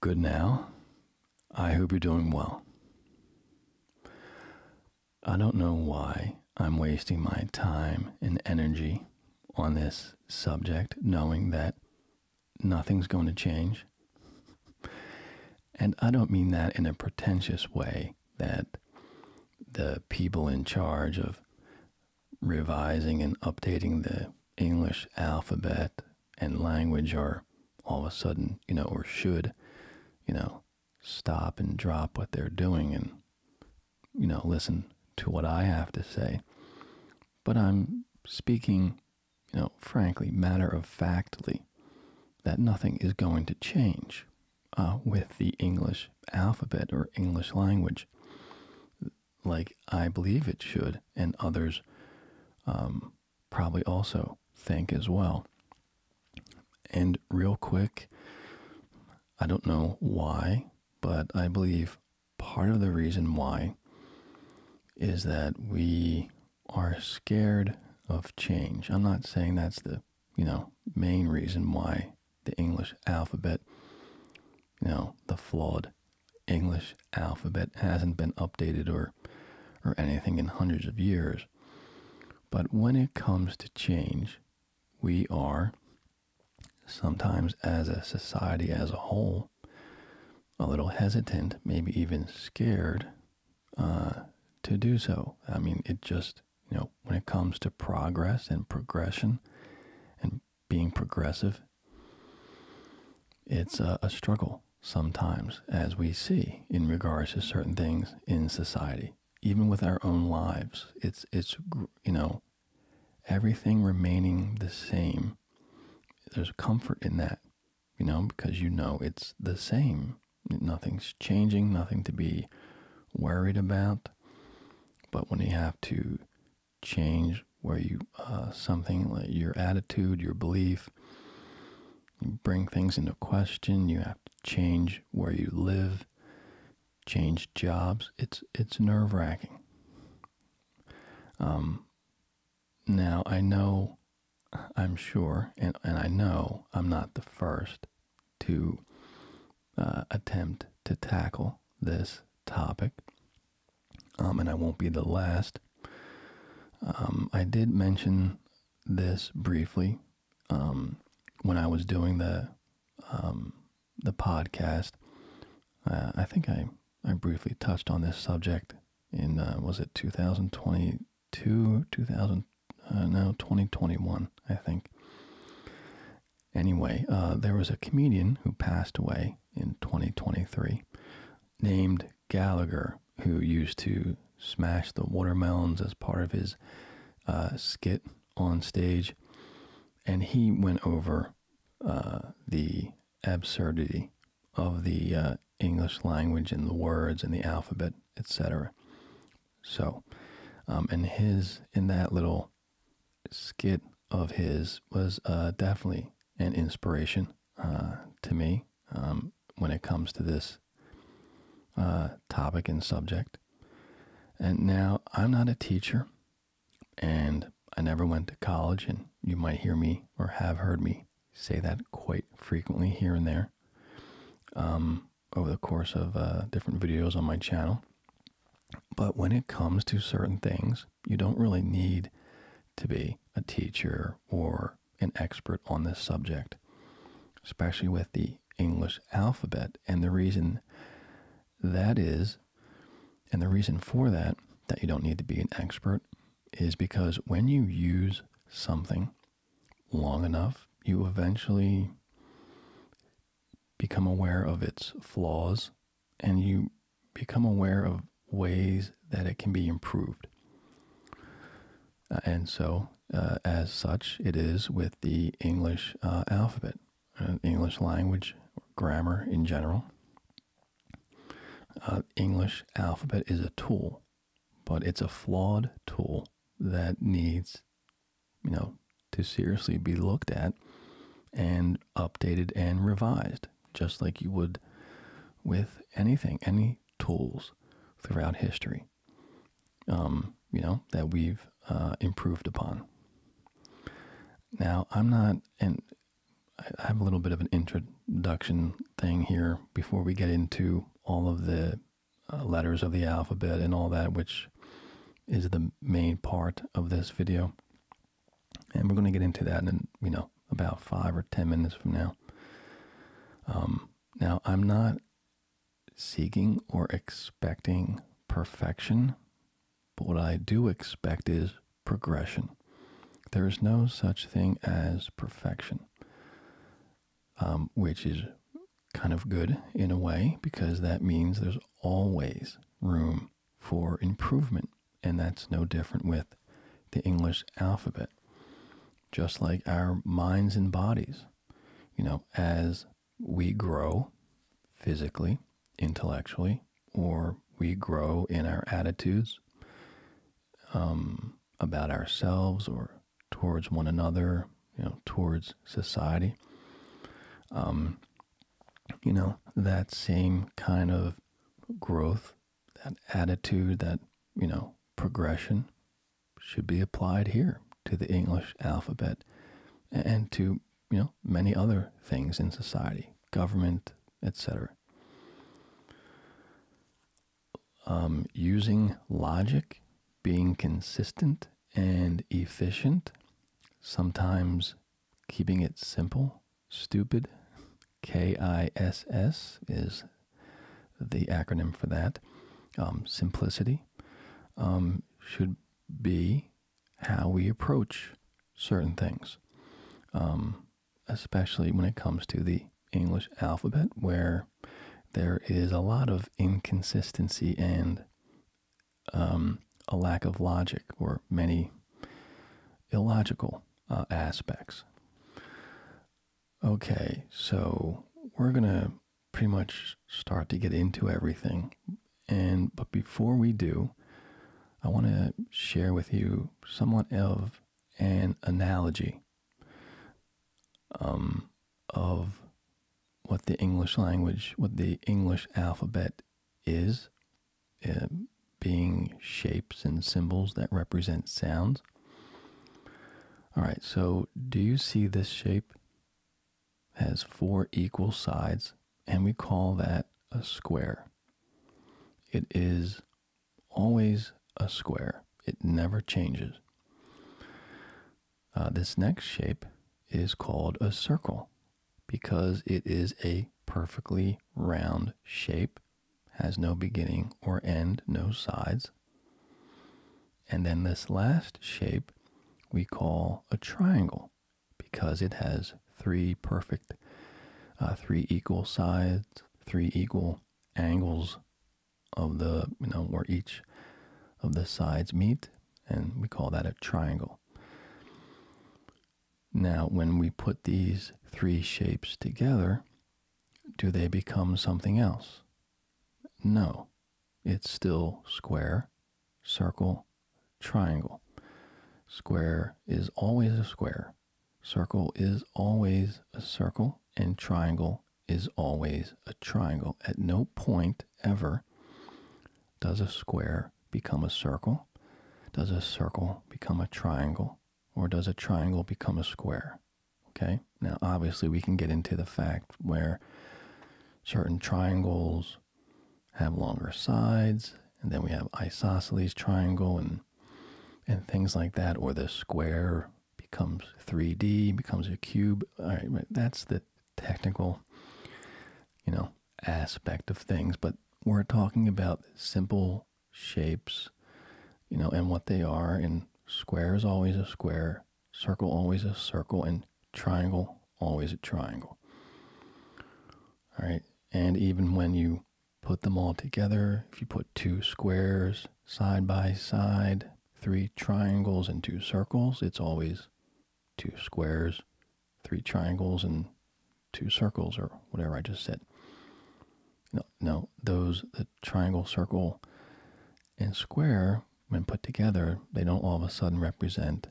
Good now. I hope you're doing well. I don't know why I'm wasting my time and energy on this subject, knowing that nothing's going to change. And I don't mean that in a pretentious way that the people in charge of revising and updating the English alphabet and language are all of a sudden, you know, or should, you know, stop and drop what they're doing and, you know, listen to what I have to say. But I'm speaking, you know, frankly, matter of factly, that nothing is going to change uh, with the English alphabet or English language like I believe it should, and others um, probably also think as well. And real quick, I don't know why, but I believe part of the reason why is that we are scared of change. I'm not saying that's the, you know, main reason why the English alphabet you know, the flawed English alphabet hasn't been updated or or anything in hundreds of years. But when it comes to change, we are sometimes as a society as a whole a little hesitant, maybe even scared uh, to do so. I mean, it just, you know, when it comes to progress and progression and being progressive. It's a, struggle sometimes, as we see in regards to certain things in society, even with our own lives. It's it's you know everything remaining the same. There's comfort in that, you know, because you know it's the same. Nothing's changing, nothing to be worried about. But when you have to change where you uh, something like your attitude, your belief, you bring things into question. You have to change where you live, change jobs. It's it's nerve wracking. Um, now I know, I'm sure, and and I know I'm not the first to uh, attempt to tackle this topic. Um, and I won't be the last. Um, I did mention this briefly um, when I was doing the the podcast. Uh, I think I I briefly touched on this subject in uh, was it 2022 2000 uh, no 2021 I think. Anyway, uh, there was a comedian who passed away in 2023 named Gallagher, who used to smash the watermelons as part of his uh, skit on stage. And he went over uh, the absurdity of the uh, English language and the words and the alphabet, etc. So, um, and his, in that little skit of his, was definitely an inspiration uh, to me um, when it comes to this uh, topic and subject. And now I'm not a teacher and I never went to college, and you might hear me or have heard me say that quite frequently here and there um, over the course of uh, different videos on my channel. But when it comes to certain things, you don't really need to be a teacher or an expert on this subject, especially with the English alphabet. And the reason that is, and the reason for that, that you don't need to be an expert is because when you use something long enough, you eventually become aware of its flaws and you become aware of ways that it can be improved. Uh, and so, uh, as such, it is with the English uh, alphabet, English language, grammar in general. English alphabet is a tool, but it's a flawed tool that needs, you know, to seriously be looked at and updated and revised just like you would with anything, any tools throughout history, um, you know, that we've uh, improved upon. Now, I'm not, and I have a little bit of an introduction thing here before we get into all of the uh, letters of the alphabet and all that, which is the main part of this video and we're going to get into that in you know about five or ten minutes from now. Um, now I'm not seeking or expecting perfection, but what I do expect is progression. There is no such thing as perfection, um, which is kind of good in a way because that means there's always room for improvement and that's no different with the English alphabet. Just like our minds and bodies, you know, as we grow physically, intellectually, or we grow in our attitudes um, about ourselves or towards one another, you know, towards society. Um, you know, that same kind of growth that attitude, that, you know, progression should be applied here to the English alphabet and to, you know, many other things in society, government, etc. Um, using logic, being consistent and efficient, sometimes keeping it simple, stupid, KISS is the acronym for that. Um, simplicity um, should be how we approach certain things, um, especially when it comes to the English alphabet, where there is a lot of inconsistency and a lack of logic or many illogical uh, aspects. Okay, so we're gonna pretty much start to get into everything. And but before we do, I want to share with you somewhat of an analogy um, of what the English language, what the English alphabet is, um, being shapes and symbols that represent sounds. All right, so do you see this shape has four equal sides, and we call that a square. It is always a square. It never changes. Uh, this next shape is called a circle because it is a perfectly round shape has no beginning or end, no sides. And then this last shape we call a triangle because it has three perfect, uh, three equal sides, three equal angles of the, you know, where each of the sides meet, and we call that a triangle. Now, when we put these three shapes together, do they become something else? No. It's still square, circle, triangle. Square is always a square. Circle is always a circle, and triangle is always a triangle. At no point ever does a square become a circle, does a circle become a triangle, or does a triangle become a square. Okay, now obviously we can get into the fact where certain triangles have longer sides, and then we have isosceles triangle and and things like that, or the square becomes 3D, becomes a cube. All right, but that's the technical, you know, aspect of things, but we're talking about simple shapes, you know, and what they are. And square is always a square, circle always a circle, and triangle always a triangle. All right. And even when you put them all together, if you put two squares side by side, three triangles, and two circles, it's always two squares, three triangles, and two circles, or whatever I just said. No, no, those, the triangle, circle, and square, when put together, they don't all of a sudden represent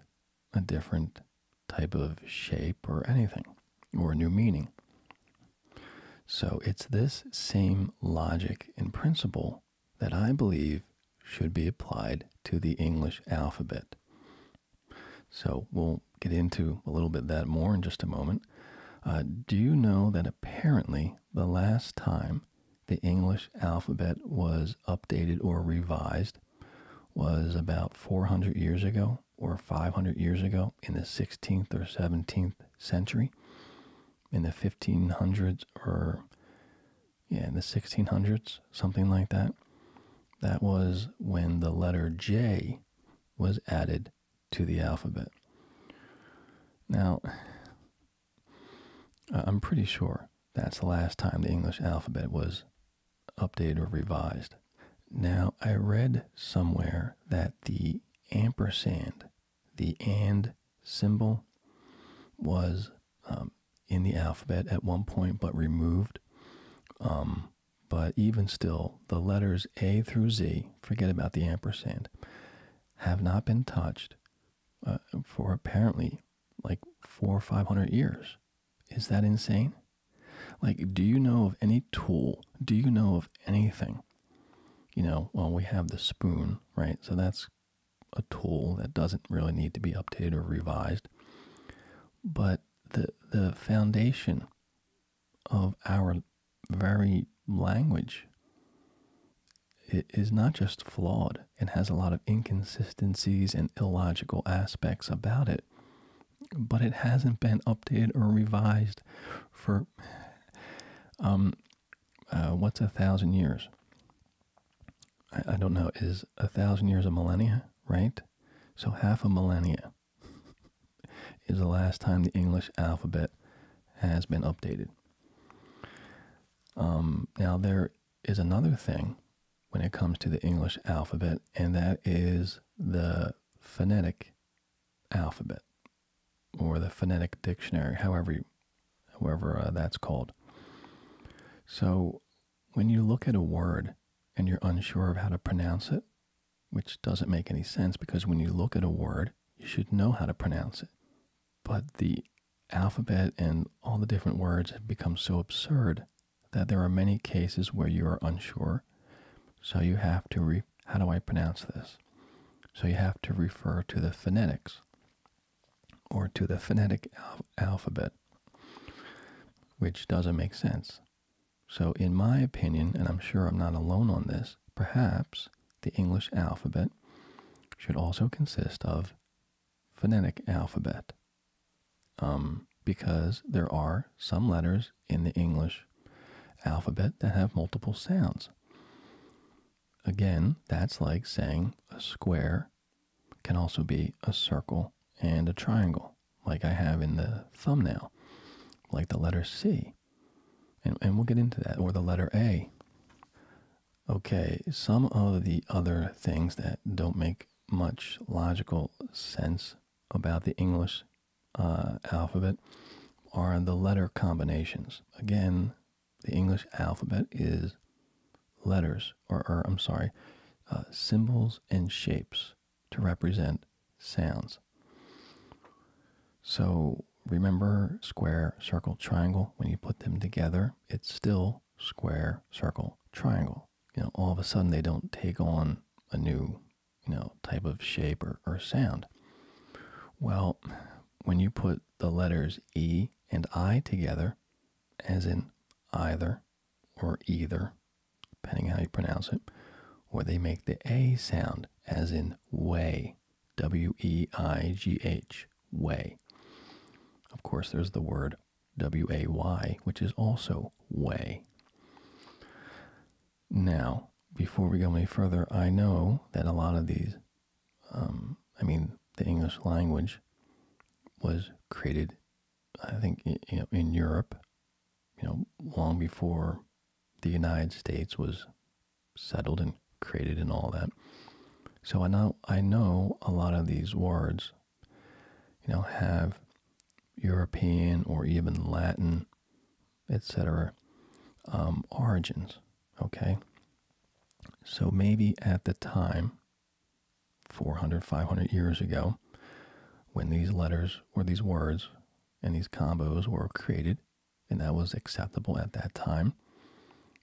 a different type of shape or anything, or a new meaning. So it's this same logic in principle that I believe should be applied to the English alphabet. So we'll get into a little bit that more in just a moment. Uh, do you know that apparently the last time the English alphabet was updated or revised was about 400 years ago or 500 years ago in the 16th or 17th century? In the 1500s or, yeah, in the 1600s, something like that. That was when the letter J was added to the alphabet. Now, I'm pretty sure that's the last time the English alphabet was updated or revised. Now, I read somewhere that the ampersand, the and symbol, was um, in the alphabet at one point but removed. Um, but even still, the letters A through Z, forget about the ampersand, have not been touched uh, for apparently like four or five hundred years. Is that insane? Like, do you know of any tool? Do you know of anything? You know, well, we have the spoon, right? So that's a tool that doesn't really need to be updated or revised. But the the foundation of our very language it is not just flawed it has a lot of inconsistencies and illogical aspects about it, but it hasn't been updated or revised for um, uh, what's a thousand years? I, I don't know. Is a thousand years a millennia, right? So half a millennia. is the last time the English alphabet has been updated. Um, now, there is another thing when it comes to the English alphabet, and that is the phonetic alphabet or the phonetic dictionary, however, however uh, that's called. So, when you look at a word and you're unsure of how to pronounce it, which doesn't make any sense because when you look at a word, you should know how to pronounce it. But the alphabet and all the different words have become so absurd that there are many cases where you are unsure. So you have to how do I pronounce this? So you have to refer to the phonetics or to the phonetic alphabet, which doesn't make sense. So in my opinion, and I'm sure I'm not alone on this, perhaps the English alphabet should also consist of phonetic alphabet um, because there are some letters in the English alphabet that have multiple sounds. Again, that's like saying a square can also be a circle and a triangle, like I have in the thumbnail, like the letter C. And, we'll get into that, or the letter A. Okay, some of the other things that don't make much logical sense about the English uh, alphabet are the letter combinations. Again, the English alphabet is letters, or, I'm sorry, uh, symbols and shapes to represent sounds. So remember square, circle, triangle? When you put them together, it's still square, circle, triangle. You know, all of a sudden they don't take on a new, you know, type of shape or, sound. Well, when you put the letters E and I together, as in either or either, depending how you pronounce it, or they make the A sound, as in way W E I G H, way. Of course, there's the word W A Y, which is also way. Now, before we go any further, I know that a lot of these, um, I mean, the English language was created, I think, in Europe, you know, long before the United States was settled and created and all that. So I know I know a lot of these words, you know, have European or even Latin, etc., um, origins. Okay, so maybe at the time, 400, 500 years ago, when these letters or these words and these combos were created and that was acceptable at that time.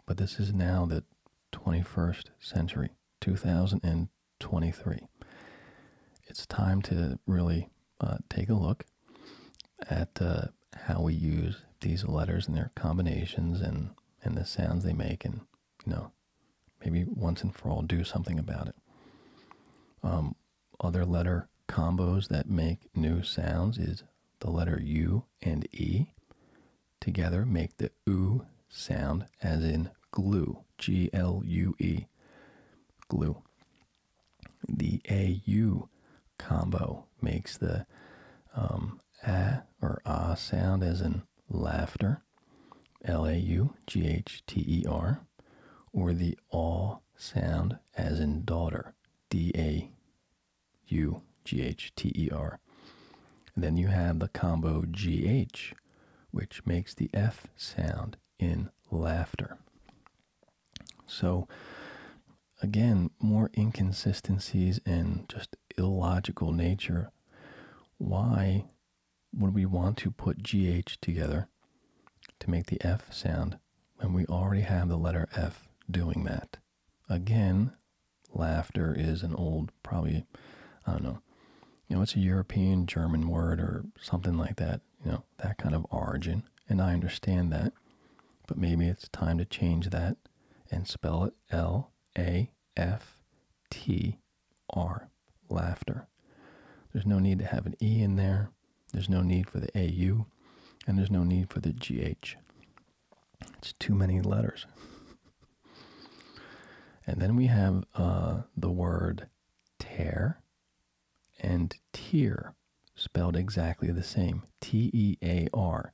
But this is now the 21st century, 2023. It's time to really uh, take a look at uh, how we use these letters and their combinations and, and the sounds they make, and you know, maybe once and for all do something about it. Um, other letter combos that make new sounds is the letter U and E together make the oo sound as in glue, G L U E, glue. The A U combo makes the um, a or ah sound as in laughter, L A U G H T E R, or the aw sound as in daughter, D A U G H T E R. then you have the combo GH, which makes the F sound in laughter. So, again, more inconsistencies and just illogical nature. Why would we want to put GH together to make the F sound when we already have the letter F doing that? again, laughter is an old, probably, I don't know, you know, it's a European German word or something like that, you know, that kind of origin. And I understand that, but maybe it's time to change that and spell it L A F T R, laughter. There's no need to have an E in there. There's no need for the AU, and there's no need for the GH. It's too many letters. and then we have uh, the word tear and tear spelled exactly the same T E A R.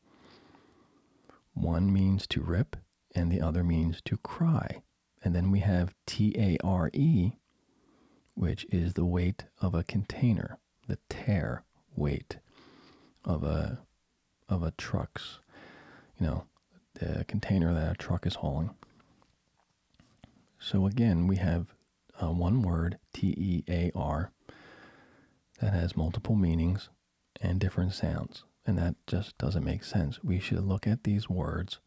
One means to rip, and the other means to cry. And then we have T A R E, which is the weight of a container the tear weight of a of a truck's, you know, the container that a truck is hauling. So again, we have uh, one word T E A R that has multiple meanings and different sounds, and that just doesn't make sense. We should look at these words.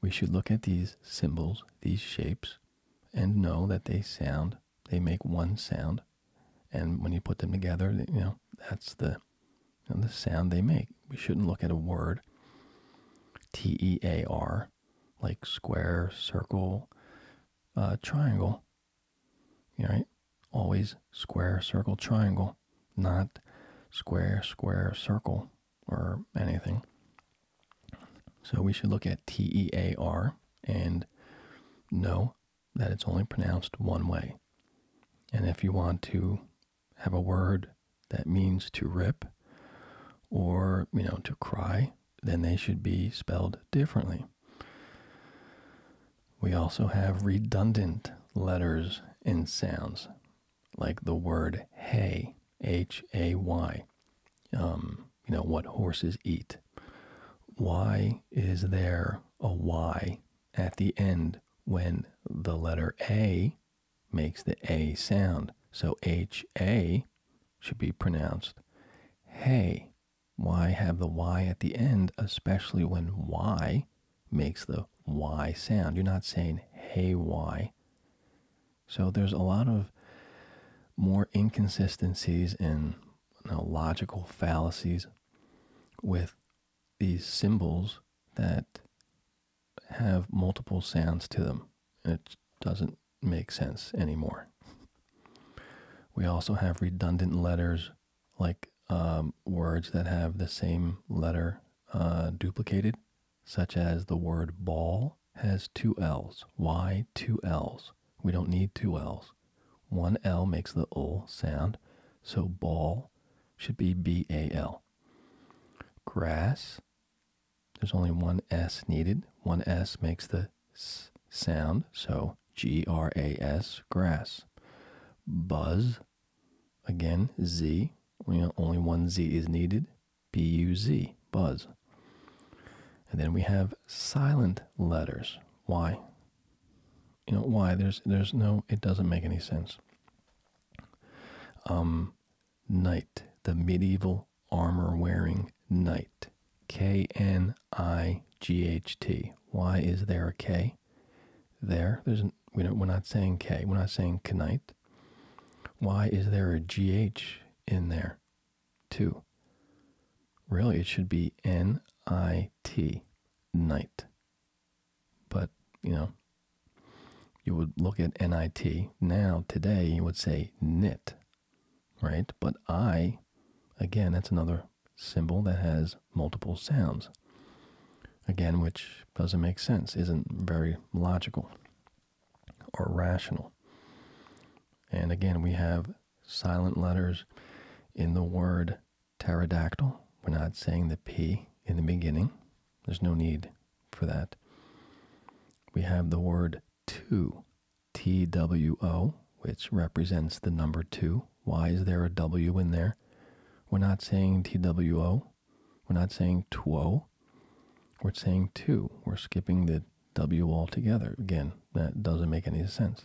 We should look at these symbols, these shapes, and know that they sound they make one sound, and when you put them together, you know that's the the sound they make. We shouldn't look at a word T E A R like square, circle, uh, triangle. right? Always square, circle, triangle, not square, square, circle, or anything. So we should look at T E A R and no that it's only pronounced one way. And if you want to have a word that means to rip or, you know, to cry, then they should be spelled differently. We also have redundant letters and sounds, like the word hay, H A Y. Um, you know, what horses eat. Why is there a Y at the end when the letter A makes the A sound? So HA should be pronounced hey. Why have the Y at the end, especially when Y makes the Y sound? You're not saying hey Y. So there's a lot of more inconsistencies in logical fallacies with these symbols that have multiple sounds to them. And it doesn't make sense anymore. We also have redundant letters like um, words that have the same letter uh, duplicated, such as the word ball has two L's. Why two L's? We don't need two L's. One L makes the O sound, so ball should be B A L. Grass, there's only one S needed. One S makes the S sound, so G R A S, grass. Buzz, again, Z, only one Z is needed. B U Z, buzz. And then we have silent letters. Why? you know why there's there's no it doesn't make any sense um knight the medieval armor wearing knight k n i g h t why is there a k there there's we don't we're not saying k we're not saying knight why is there a G H in there too really it should be n i T, night. But, you know, you would look at NIT. Now, today, you would say knit, right? But I, again, that's another symbol that has multiple sounds. Again, which doesn't make sense, isn't very logical or rational. And again, we have silent letters in the word pterodactyl. We're not saying the P in the beginning. There's no need for that. We have the word two, T W O, which represents the number two. Why is there a W in there? We're not saying T W O. We're not saying two. We're saying two. We're skipping the W altogether. Again, that doesn't make any sense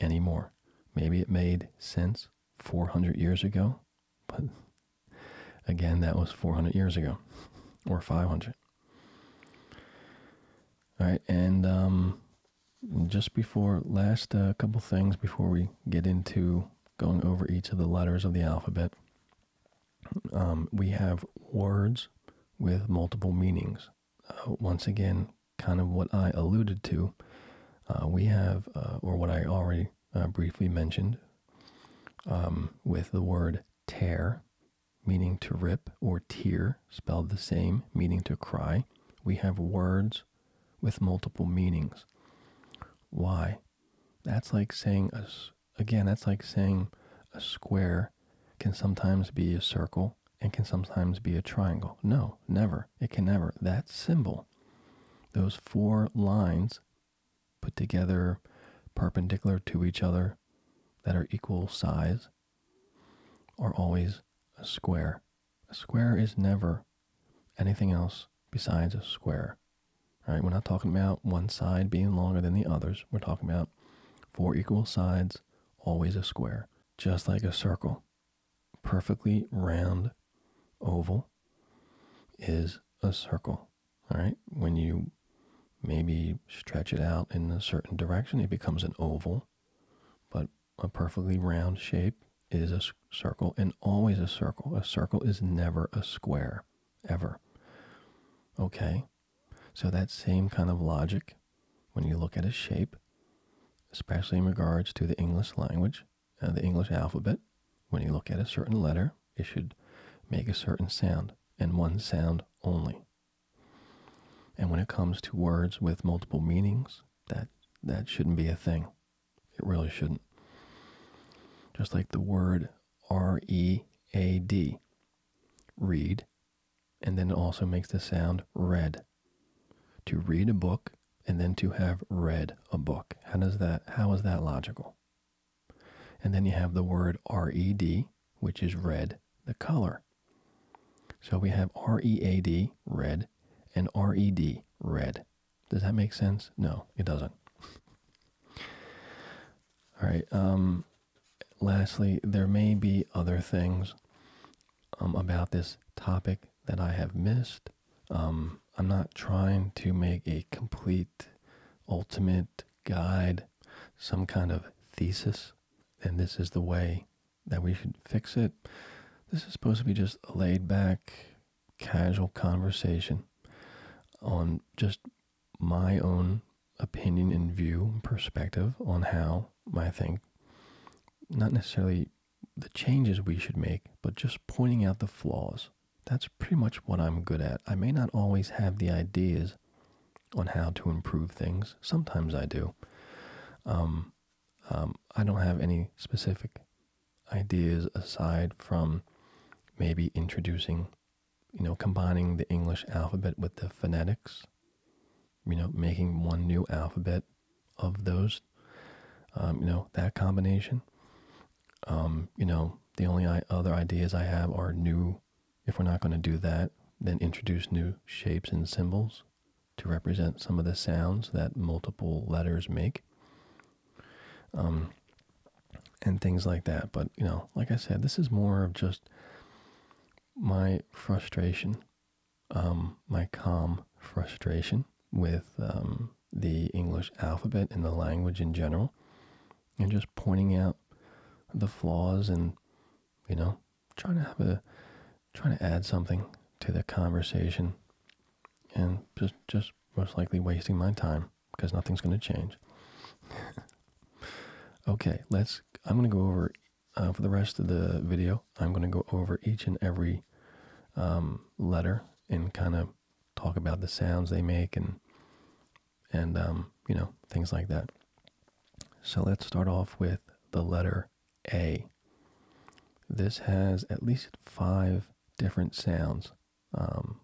anymore maybe it made sense 400 years ago, but again, that was 400 years ago or 500. All right, and um, just before last uh, couple things before we get into going over each of the letters of the alphabet, um, we have words with multiple meanings. Uh, once again, kind of what I alluded to, uh, we have, uh, or what I already briefly mentioned, um, with the word tear, meaning to rip, or tear, spelled the same, meaning to cry, we have words with multiple meanings. Why? That's like saying, a, again, that's like saying a square can sometimes be a circle circle. It can sometimes be a triangle. No, never. It can never. That symbol, those four lines put together perpendicular to each other that are equal size, are always a square. A square is never anything else besides a square. All right, we're not talking about one side being longer than the others. We're talking about four equal sides, always a square, just like a circle perfectly round oval is a circle. All right. When you maybe stretch it out in a certain direction, it becomes an oval. But a perfectly round shape is a circle and always a circle. A circle is never a square, ever. Okay. So that same kind of logic when you look at a shape, especially in regards to the English language and the English alphabet. When you look at a certain letter, it should make a certain sound and one sound only. And when it comes to words with multiple meanings, that that shouldn't be a thing. It really shouldn't. Just like the word R E A D, read, and then it also makes the sound red to read a book and then to have read a book. How does that how is that logical? And then you have the word red, which is red, the color. So we have read, red, and red, red. Does that make sense? No, it doesn't. All right. Um, lastly, there may be other things um, about this topic that I have missed. Um, I'm not trying to make a complete, ultimate guide, some kind of thesis, and this is the way that we should fix it. This is supposed to be just a laid back, casual conversation on just my own opinion and view perspective on how I think, not necessarily the changes we should make, but just pointing out the flaws. That's pretty much what I'm good at. I may not always have the ideas on how to improve things. Sometimes I do. Um, um, I don't have any specific ideas aside from maybe introducing, you know, combining the English alphabet with the phonetics you know, making one new alphabet of those, um, you know, that combination. Um, you know, the only other ideas I have are new, if we're not going to do that, then introduce new shapes and symbols to represent some of the sounds that multiple letters make. Um, and things like that. But, you know, like I said, this is more of just my frustration um, my calm frustration with um, the English alphabet and the language in general, and just pointing out the flaws and you know trying to have a trying to add something to the conversation, and just just most likely wasting my time because nothing's going to change. okay, let's. I'm going to go over uh, for the rest of the video. I'm going to go over each and every um, letter and kind of talk about the sounds they make and and um, you know things like that. So let's start off with the letter A. This has at least five different sounds um,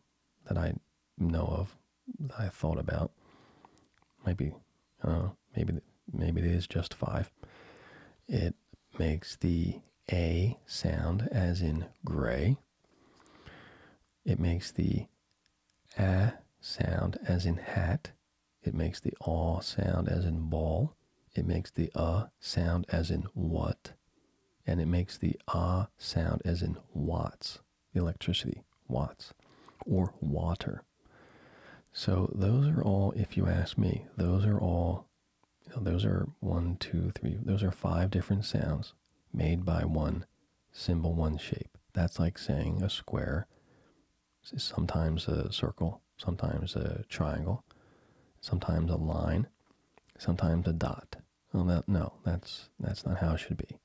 that I know of that I thought about. Might maybe maybe it is just five. It makes the A sound, as in gray. It makes the A sound, as in hat. It makes the aw sound, as in ball. It makes the uh sound, as in what. And it makes the ah sound, as in watts, electricity, watts, or water. So, those are all, if you ask me, those are all those are one, two, three. Those are five different sounds made by one symbol, one shape. That's like saying a square sometimes a circle, sometimes a triangle, sometimes a line, sometimes a dot. Well, no, that's that's not how it should be.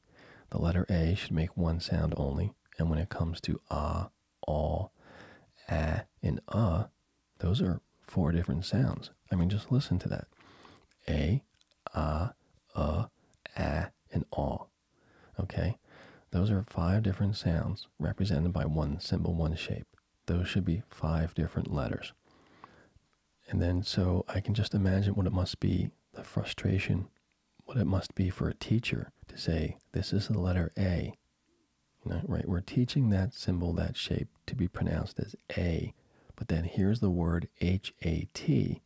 The letter A should make one sound only, and when it comes to ah all, ah, and uh. Those are four different sounds. I mean, just listen to that. A, ah, uh, ah, and all. Okay? Those are five different sounds represented by one symbol, one shape. Those should be five different letters. And then, so I can just imagine what it must be the frustration, what it must be for a teacher to say, this is the letter A, right? We're teaching that symbol, that shape to be pronounced as A, but then here's the word H A T,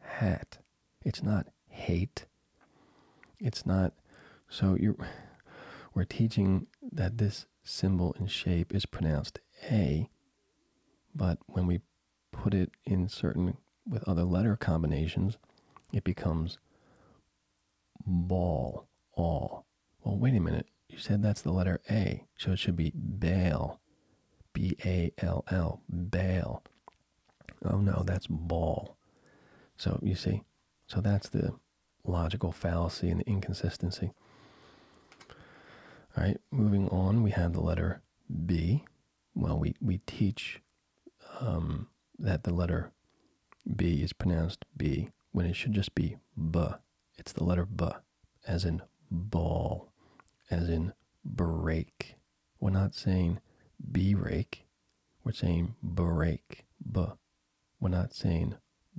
hat. It's not hate. It's not. So you We're teaching that this symbol and shape is pronounced A, but when we put it in certain with other letter combinations, it becomes ball, all, well, wait a minute. You said that's the letter A, so it should be bail. B A L L, bail. Oh no, that's ball. So you see, so that's the logical fallacy and the inconsistency. All right, moving on, we have the letter B. Well, we, we teach um, that the letter B is pronounced B when it should just be B. It's the letter B, as in ball, as in break. We're not saying B rake, we're saying break, B. We're not saying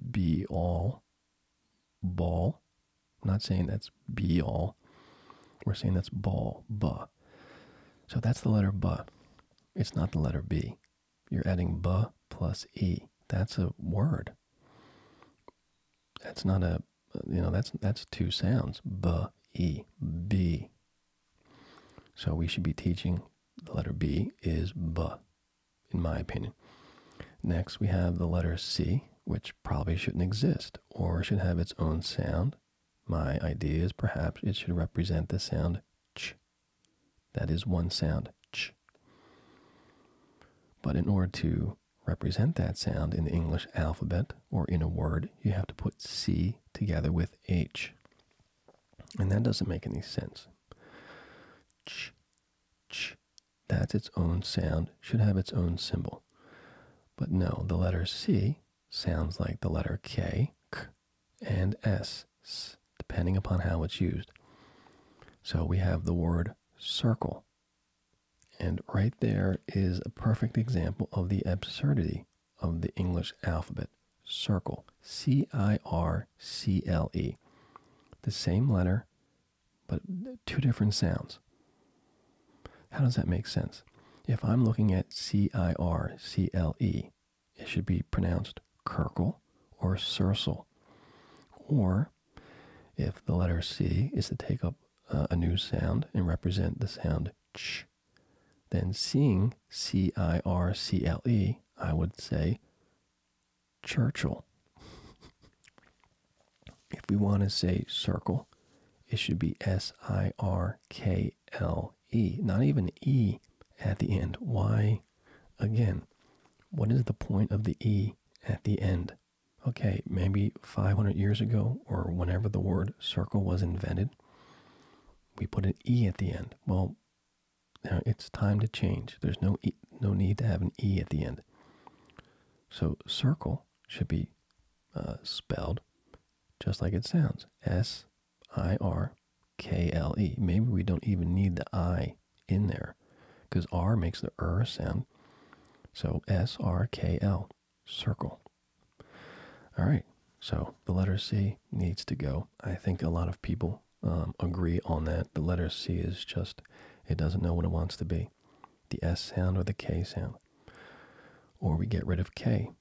be all, ball. not saying that's be all. We're saying that's ball, B. So that's the letter B. It's not the letter B. You're adding ba plus e. That's a word. That's not a, you know, that's that's two sounds. Ba e b. So we should be teaching the letter b is ba, in my opinion. Next we have the letter c, which probably shouldn't exist or should have its own sound. My idea is perhaps it should represent the sound ch that is one sound, ch. But in order to represent that sound in the English alphabet or in a word, you have to put C together with H. And that doesn't make any sense. Ch, ch, that's its own sound, should have its own symbol. But no, the letter C sounds like the letter K, k, and S depending upon how it's used. So we have the word circle. And right there is a perfect example of the absurdity of the English alphabet. Circle. C I R C L E. The same letter, but two different sounds. How does that make sense? If I'm looking at C I R C L E, it should be pronounced Kirkle, or Circle. Or, if the letter C is to take up uh, a new sound and represent the sound ch, then seeing C I R C L E, I would say Churchill. if we want to say circle, it should be S I R K L E, not even E at the end. Why Again, what is the point of the E at the end? Okay, maybe 500 years ago or whenever the word circle was invented, we put an E at the end. Well, now it's time to change. There's no, no need to have an E at the end. So circle should be uh, spelled just like it sounds S I R K L E. Maybe we don't even need the I in there because R makes the R sound. So S R K L, circle. All right, so the letter C needs to go. I think a lot of people um, agree on that. The letter C is just, it doesn't know what it wants to be the S sound or the K sound. Or we get rid of K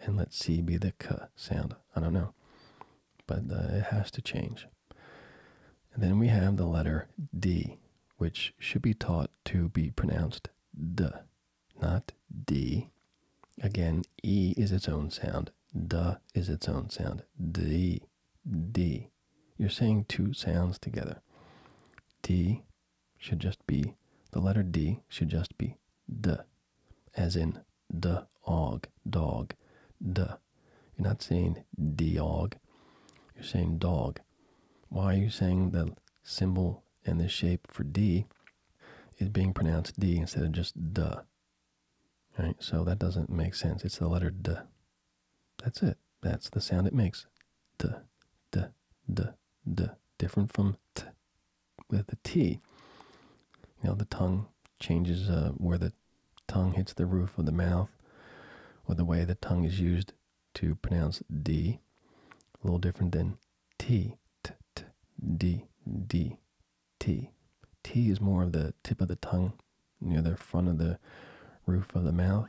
and let C be the K sound. I don't know. But uh, it has to change. And then we have the letter D, which should be taught to be pronounced D, not D. Again, E is its own sound, D is its own sound, D, D. You're saying two sounds together. D should just be, the letter D should just be D, as in the og, dog, D, you're not saying dog. You're saying dog. Why are you saying the symbol and the shape for D is being pronounced D instead of just D? Right? So that doesn't make sense. It's the letter D. That's it. That's the sound it makes. D, D, D, D. Different from T with the T. You know, the tongue changes uh, where the tongue hits the roof of the mouth, or the way the tongue is used to pronounce D. A little different than T, T, T, D, D, T. T is more of the tip of the tongue near the front of the roof of the mouth.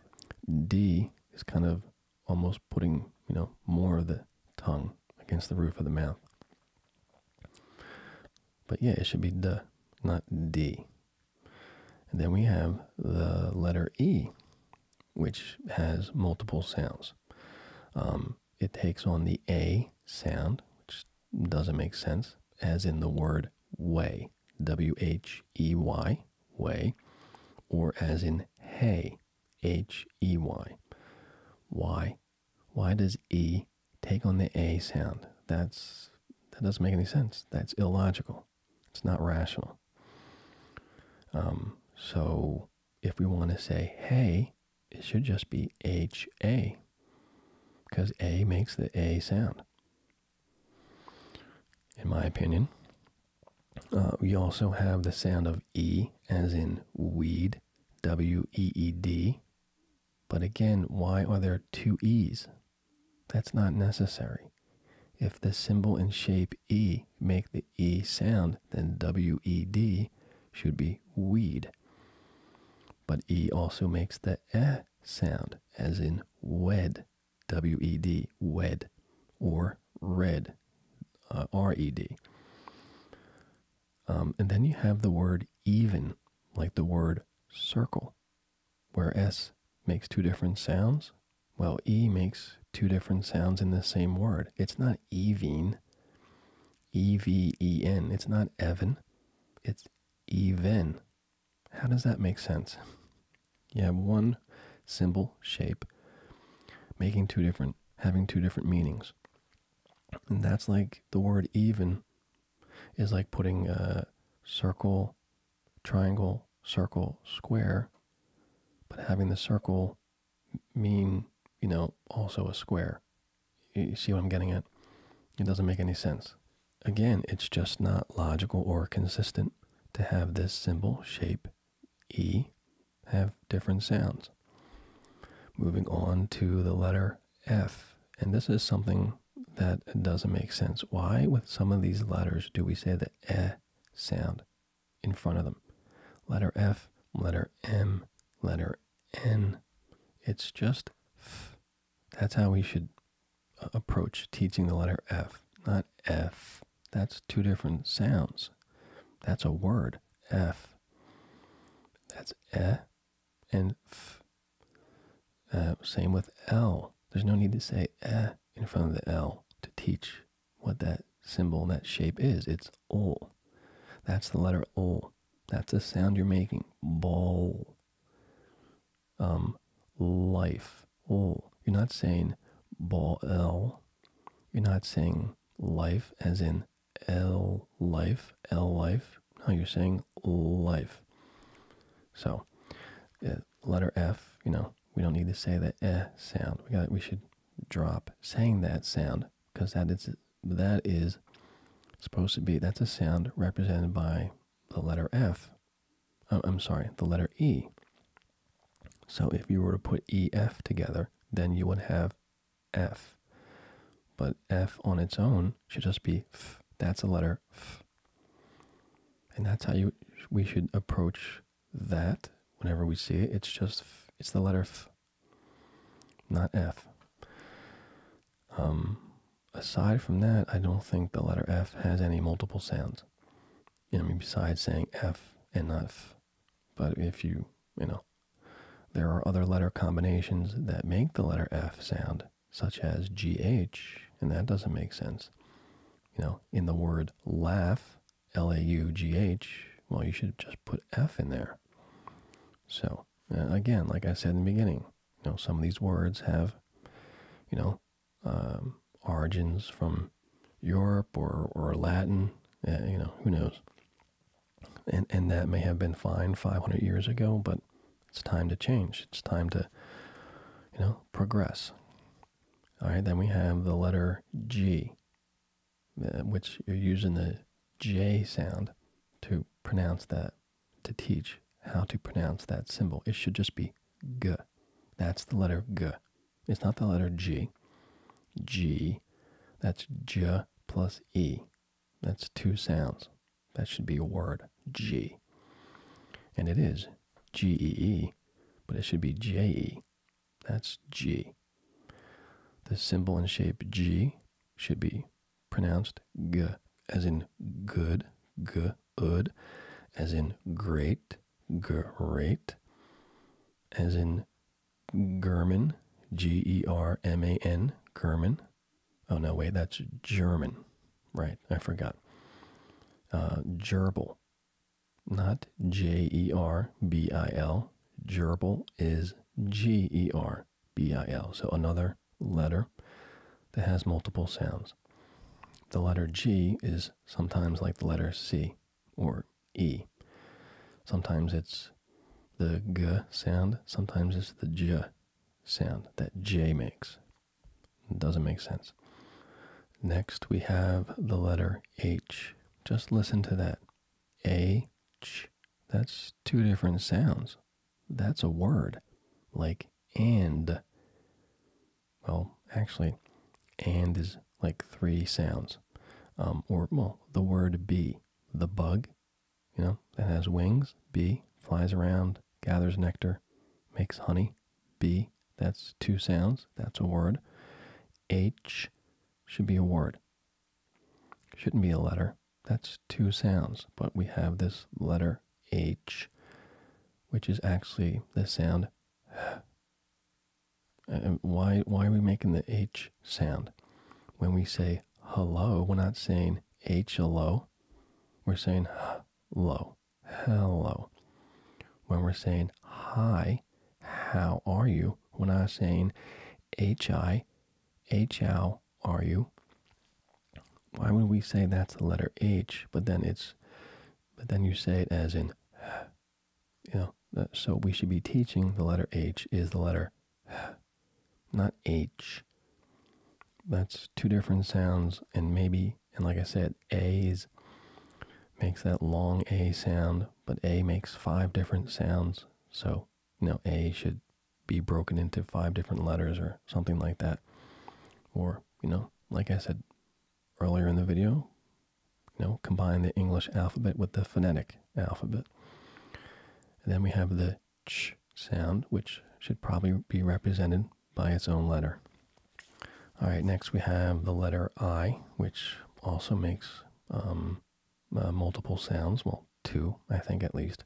D is kind of almost putting, you know, more of the tongue against the roof of the mouth. But yeah, it should be D, not D. And then we have the letter E, which has multiple sounds. Um, it takes on the A sound, which doesn't make sense, as in the word way, W H E Y, way, or as in hay, H E Y. Why? Why does E Take on the A sound. That's that doesn't make any sense. That's illogical. It's not rational. Um, so if we want to say hey, it should just be H A because A makes the A sound. In my opinion, uh, we also have the sound of E as in weed, W E E D. But again, why are there two E's? That's not necessary. If the symbol and shape E make the E sound, then WED should be weed. But E also makes the eh sound, as in wed, W-E-D, wed, or red, uh, R-E-D. Um, and then you have the word even, like the word circle, where S makes two different sounds, while E makes two different sounds in the same word. It's not even, E V E N. It's not Evan, it's even. How does that make sense? You have one symbol shape making two different, having two different meanings. And that's like the word even is like putting a circle triangle, circle, square, but having the circle mean, you know, also a square. You see what I'm getting at? It doesn't make any sense. Again, it's just not logical or consistent to have this symbol shape E have different sounds. Moving on to the letter F, and this is something that doesn't make sense. Why, with some of these letters, do we say the e sound in front of them? Letter F, letter M, letter N. It's just F. That's how we should uh, approach teaching the letter F, not F. That's two different sounds. That's a word, F. That's e and f. Uh, same with L. There's no need to say eh in front of the L to teach what that symbol, that shape is. It's ol. That's the letter ol. That's the sound you're making. Ball. Um, life. Ol. You're not saying ball L. You're not saying life as in L life, L life. No, you're saying life. So, uh, letter F, you know, we don't need to say the eh sound. We got we should drop saying that sound because that is that is supposed to be that's a sound represented by the letter F. am uh, sorry, the letter E. So if you were to put EF together, then you would have F. But F on its own should just be F. That's a letter F. And that's how you we should approach that whenever we see it. It's just it's the letter F, not F. Um, aside from that, I don't think the letter F has any multiple sounds. You know, I mean, besides saying F and F, but if you you know, there are other letter combinations that make the letter F sound such as GH, and that doesn't make sense. You know, in the word laugh, L A U G H, well, you should just put F in there. So, uh, again, like I said in the beginning, you know, some of these words have, you know, um, origins from Europe or, or Latin, uh, you know, who knows. And, and that may have been fine 500 years ago, but it's time to change. It's time to, you know, progress. All right, then we have the letter G, uh, which you're using the J sound to pronounce that, to teach how to pronounce that symbol. It should just be G. That's the letter G. It's not the letter G. G, that's J plus E. That's two sounds. That should be a word, G. And it is G E E, but it should be J E. That's G. The symbol and shape G should be pronounced G, as in good, G, as in great, great, as in German, G E R M A N, German. Oh no, wait, that's German. Right, I forgot. Uh, gerbil, not J E R B I L. Gerbil is G E R B I L. So another letter that has multiple sounds. The letter G is sometimes like the letter C or E. Sometimes it's the G sound, sometimes it's the J sound that J makes. It doesn't make sense. Next, we have the letter H. Just listen to that. H. That's two different sounds. That's a word. Like and. Well, actually, and is like three sounds. Um, or, well, the word bee, the bug, you know, that has wings, bee, flies around, gathers nectar, makes honey. B, that's two sounds, that's a word. H should be a word. Shouldn't be a letter. That's two sounds, but we have this letter H, which is actually the sound uh, why why are we making the H sound? When we say hello, we're not saying H hello. We're saying hello hello. When we're saying hi, how are you? When I'm saying hi, how are you? Why would we say that's the letter H, but then it's, but then you say it as in, you know, uh, so we should be teaching the letter H is the letter, not H. That's two different sounds and maybe and like I said, A's makes that long A sound, but A makes five different sounds. So, you know, A should be broken into five different letters or something like that. Or, you know, like I said earlier in the video, you know, combine the English alphabet with the phonetic alphabet. And then we have the ch sound, which should probably be represented by its own letter. All right, next we have the letter I, which also makes um, uh, multiple sounds. Well, two, I think at least.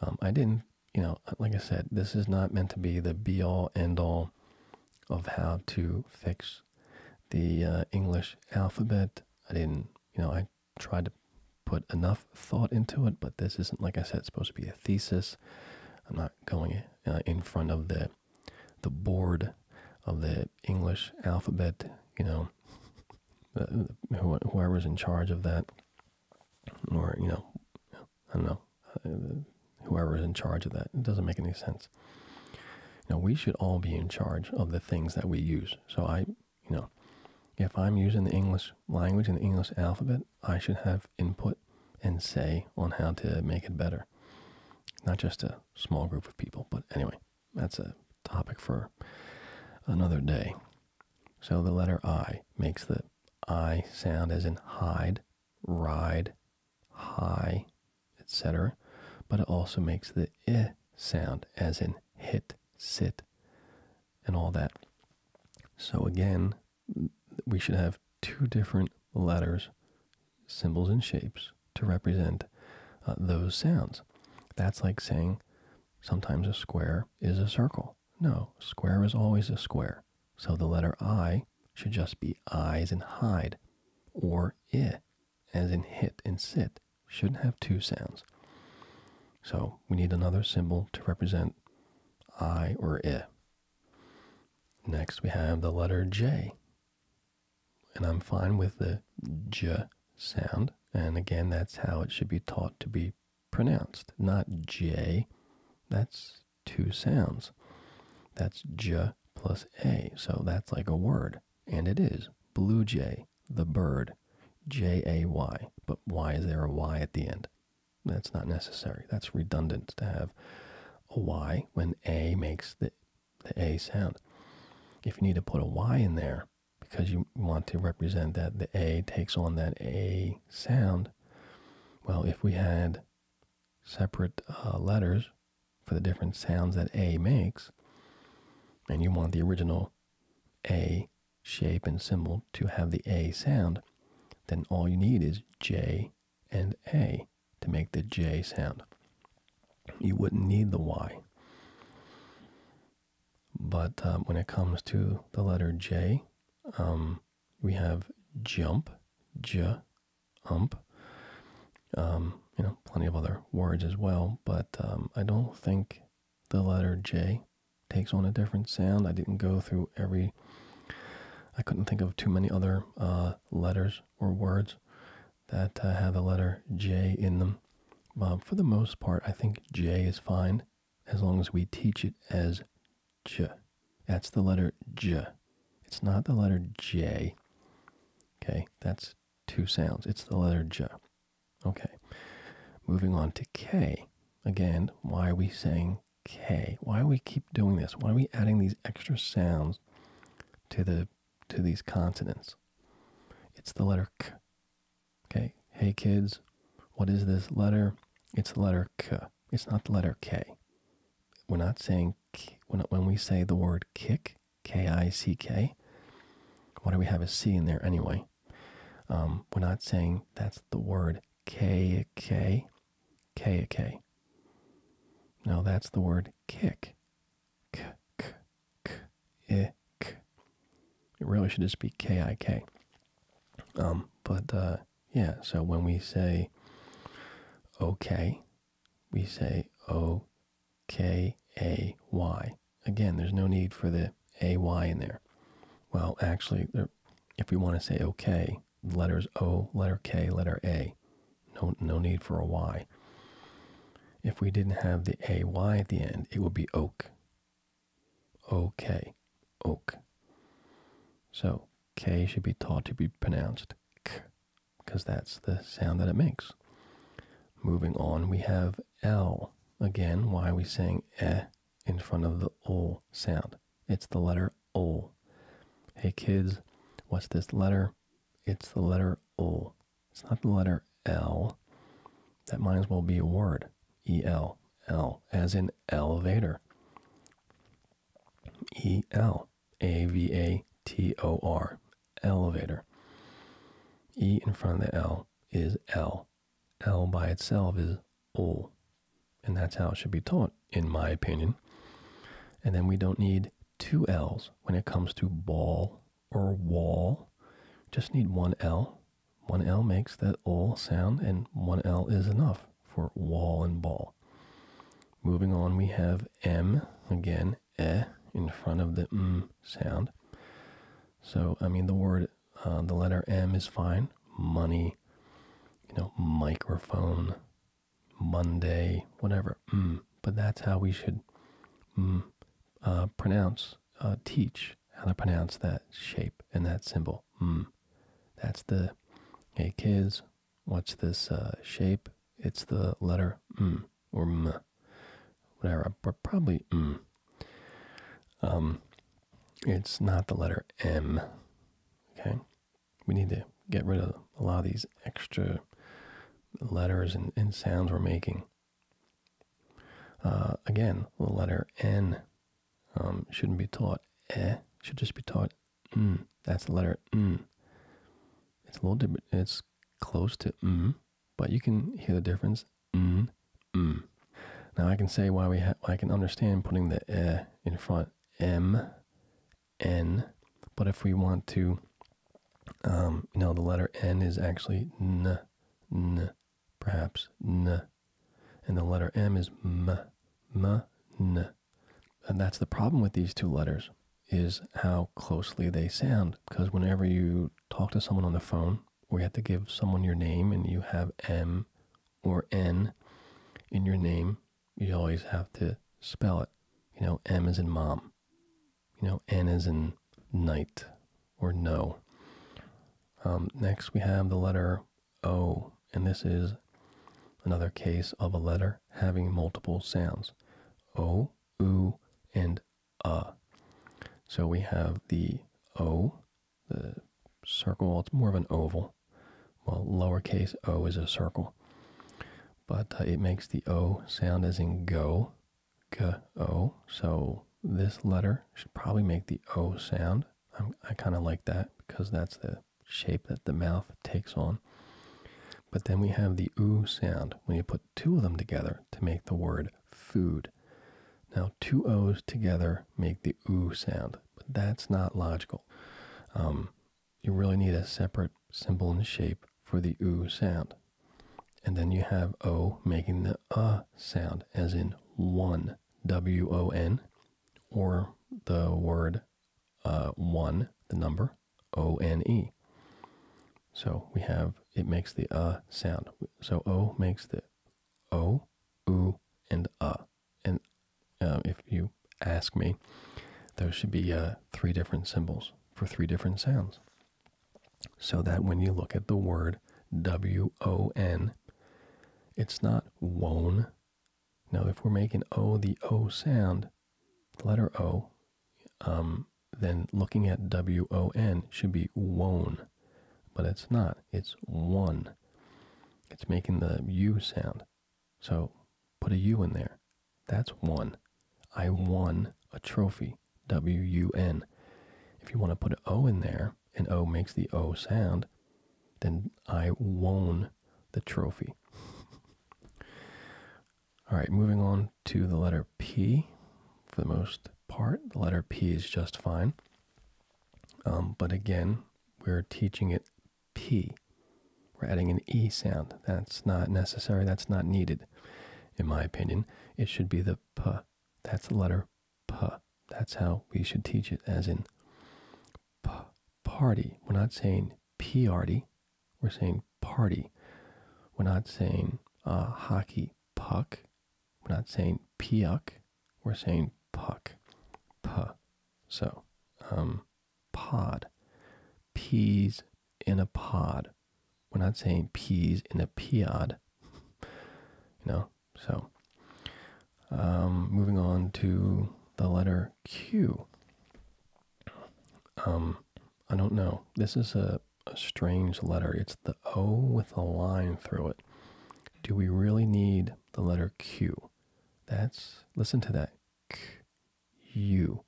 Um, I didn't, you know, uh, like I said, this is not meant to be the be all end all of how to fix the uh, English alphabet. I didn't, you know, I tried to put enough thought into it, but this isn't, like I said, supposed to be a thesis. I'm not going uh, in front of the the board of the English alphabet, you know, uh, whoever's in charge of that, or you know, I don't know, uh, whoever's in charge of that. It doesn't make any sense. Now we should all be in charge of the things that we use. So I, you know, if I'm using the English language and the English alphabet, I should have input and say on how to make it better. Not just a small group of people, but anyway, that's a topic for another day. So the letter I makes the I sound as in hide, ride, high, etc. But it also makes the I sound as in hit, sit, and all that. So again, we should have two different letters, symbols, and shapes to represent uh, those sounds. That's like saying sometimes a square is a circle. No, square is always a square. So the letter I should just be I as in hide, or I, as in hit and sit. should have two sounds. So we need another symbol to represent I or I. Next, we have the letter J. And I'm fine with the J sound. And again, that's how it should be taught to be pronounced, not J. That's two sounds. That's J plus A. So that's like a word. And it is blue jay, the bird, J A Y. But why is there a Y at the end? That's not necessary. That's redundant to have a Y when A makes the, the A sound. If you need to put a Y in there because you want to represent that the A takes on that A sound, well, if we had separate uh, letters for the different sounds that A makes, and you want the original A shape and symbol to have the A sound, then all you need is J and A to make the J sound. You wouldn't need the Y. But um, when it comes to the letter J, um, we have jump, j, ump. Um, you know, plenty of other words as well, but I don't think the letter J takes on a different sound. I didn't go through every, I couldn't think of too many other uh, letters or words that uh, have the letter J in them. Um, for the most part, I think J is fine as long as we teach it as J. That's the letter J. It's not the letter J. Okay, that's two sounds. It's the letter J. Okay, moving on to K. Again, why are we saying okay. Why are we keep doing this? Why are we adding these extra sounds to the to these consonants? It's the letter K. Okay. Hey kids, what is this letter? It's the letter K. It's not the letter K. We're not saying When, when we say the word kick, K I C K, why do we have a C in there anyway? Um, we're not saying that's the word K K. K A K. Now that's the word kick. K K K I K. It really should just be K I K. Um, but uh, yeah, so when we say okay, we say O K A Y. Again, there's no need for the A Y in there. Well, actually, if we want to say okay, letters O, letter K, letter A. No, no need for a Y. If we didn't have the AY at the end, it would be oak. OK, oak. So K should be taught to be pronounced K because that's the sound that it makes. Moving on, we have L. Again, why are we saying E eh in front of the O sound? It's the letter O. Hey kids, what's this letter? It's the letter O. It's not the letter L. That might as well be a word. E L L, as in elevator. E L A V A T O R, elevator. E in front of the L is L. L by itself is O. And that's how it should be taught, in my opinion. And then we don't need two L's when it comes to ball or wall. Just need one L. One L makes that ol sound, and one L is enough for wall and ball. Moving on, we have M, again, eh, in front of the m sound. So, I mean, the word, uh, the letter M is fine. Money, you know, microphone, Monday, whatever. Mm. But that's how we should mm, uh, pronounce, uh, teach how to pronounce that shape and that symbol. Mm. That's the, hey kids, what's this uh, shape? It's the letter M or M, whatever, but probably M. Um, it's not the letter M, okay? we need to get rid of a lot of these extra letters and, sounds we're making. Uh, again, the letter N um, shouldn't be taught eh, should just be taught mm. That's the letter mm. It's a little different. It's close to mm, but you can hear the difference mm, mm. Now I can say why we have. I can understand putting the eh in front m n. But if we want to, um, you know, the letter n is actually n, n, perhaps n, and the letter m is m, m, n. And that's the problem with these two letters is how closely they sound. Because whenever you talk to someone on the phone, or you have to give someone your name and you have M or N in your name, you always have to spell it. You know, M is in mom. You know, N is in night or no. Um, next, we have the letter O, and this is another case of a letter having multiple sounds O, U, and uh. So we have the O, the circle, it's more of an oval. Well, lowercase o is a circle but uh, it makes the O sound as in go, go. So this letter should probably make the O sound. i kind of like that because that's the shape that the mouth takes on. But then we have the oo sound when you put two of them together to make the word food. Now, two O's together make the oo sound, but that's not logical. Um, you really need a separate symbol and shape for the oo sound. And then you have O making the uh sound, as in one, W O N, or the word uh, one, the number, O N E. So we have, it makes the uh sound. So O makes the O, oo, and uh. And if you ask me, those should be uh, three different symbols for three different sounds. So that when you look at the word W O N, it's not won. Now, if we're making O the O sound, the letter O, um, then looking at W O N should be won, but it's not. It's one. It's making the U sound. So put a U in there. That's one. I won a trophy. W U N. If you want to put an O in there, and O makes the O sound, then I won the trophy. All right, moving on to the letter P for the most part. The letter P is just fine. Um, but again, we're teaching it P. We're adding an E sound. That's not necessary. That's not needed, in my opinion. It should be the P. That's the letter P. That's how we should teach it, as in P. Party. We're not saying P-arty. We're saying party. We're not saying uh, hockey puck. We're not saying puck. We're saying puck. p. So, um, pod. Peas in a pod. We're not saying peas in a pod. you know, so um, moving on to the letter Q. Um, I don't know. This is a, a strange letter. It's the O with a line through it. Do we really need the letter Q? That's listen to that you.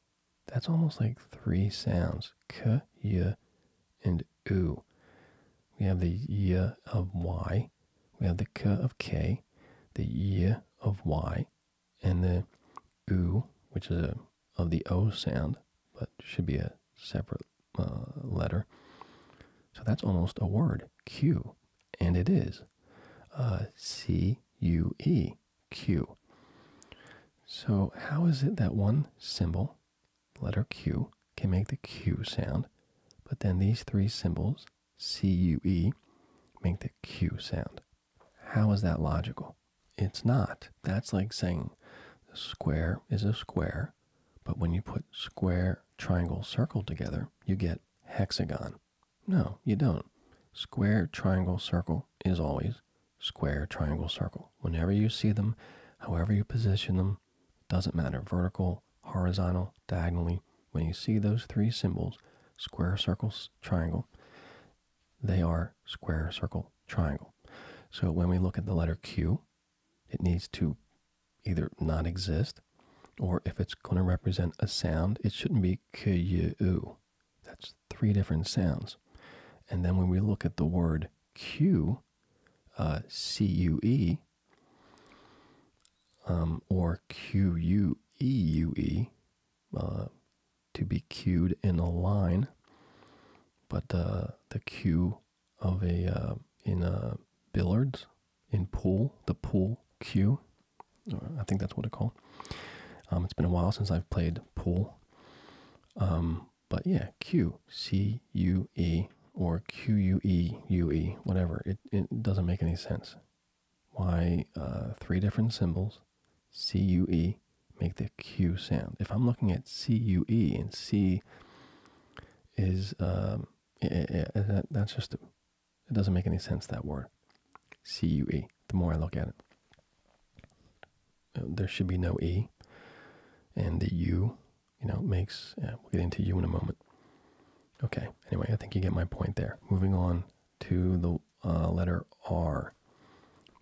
That's almost like three sounds. K, y, and oo. We have the y of y. We have the k of k, the y of y, and the oo, which is of the o sound, but should be a separate uh, letter. So that's almost a word, Q, and it is. Uh, C U E. Q. So, how is it that one symbol, letter Q, can make the Q sound, but then these three symbols, C, U, E, make the Q sound? How is that logical? It's not. That's like saying square is a square, but when you put square, triangle, circle together, you get hexagon. No, you don't. Square, triangle, circle is always square, triangle, circle. Whenever you see them, however you position them, doesn't matter, vertical, horizontal, diagonally, when you see those three symbols, square, circle, triangle, they are square, circle, triangle. So when we look at the letter Q, it needs to either not exist, or if it's going to represent a sound, it shouldn't be Q-U-U. That's three different sounds. And then when we look at the word Q, uh, C U E, um, or Q U E U E, uh, to be cued in a line, but uh, the cue of a uh, in uh, billiards, in pool, the pool cue. I think that's what it's called. Um, it's been a while since I've played said pool. Um, but yeah, Q, C, U, E, or Q, U, E, U, E, whatever. It, it doesn't make any sense. Why uh, three different symbols, C, U, E, make the Q sound. If I'm looking at C, U, E, and C is, um, that's just, it doesn't make any sense, that word. C, U, E, the more I look at it. Uh, there should be no E. And the U, you know, makes, we'll get into U in a moment. Okay, anyway, I think you get my point there. Moving on to the uh, letter R.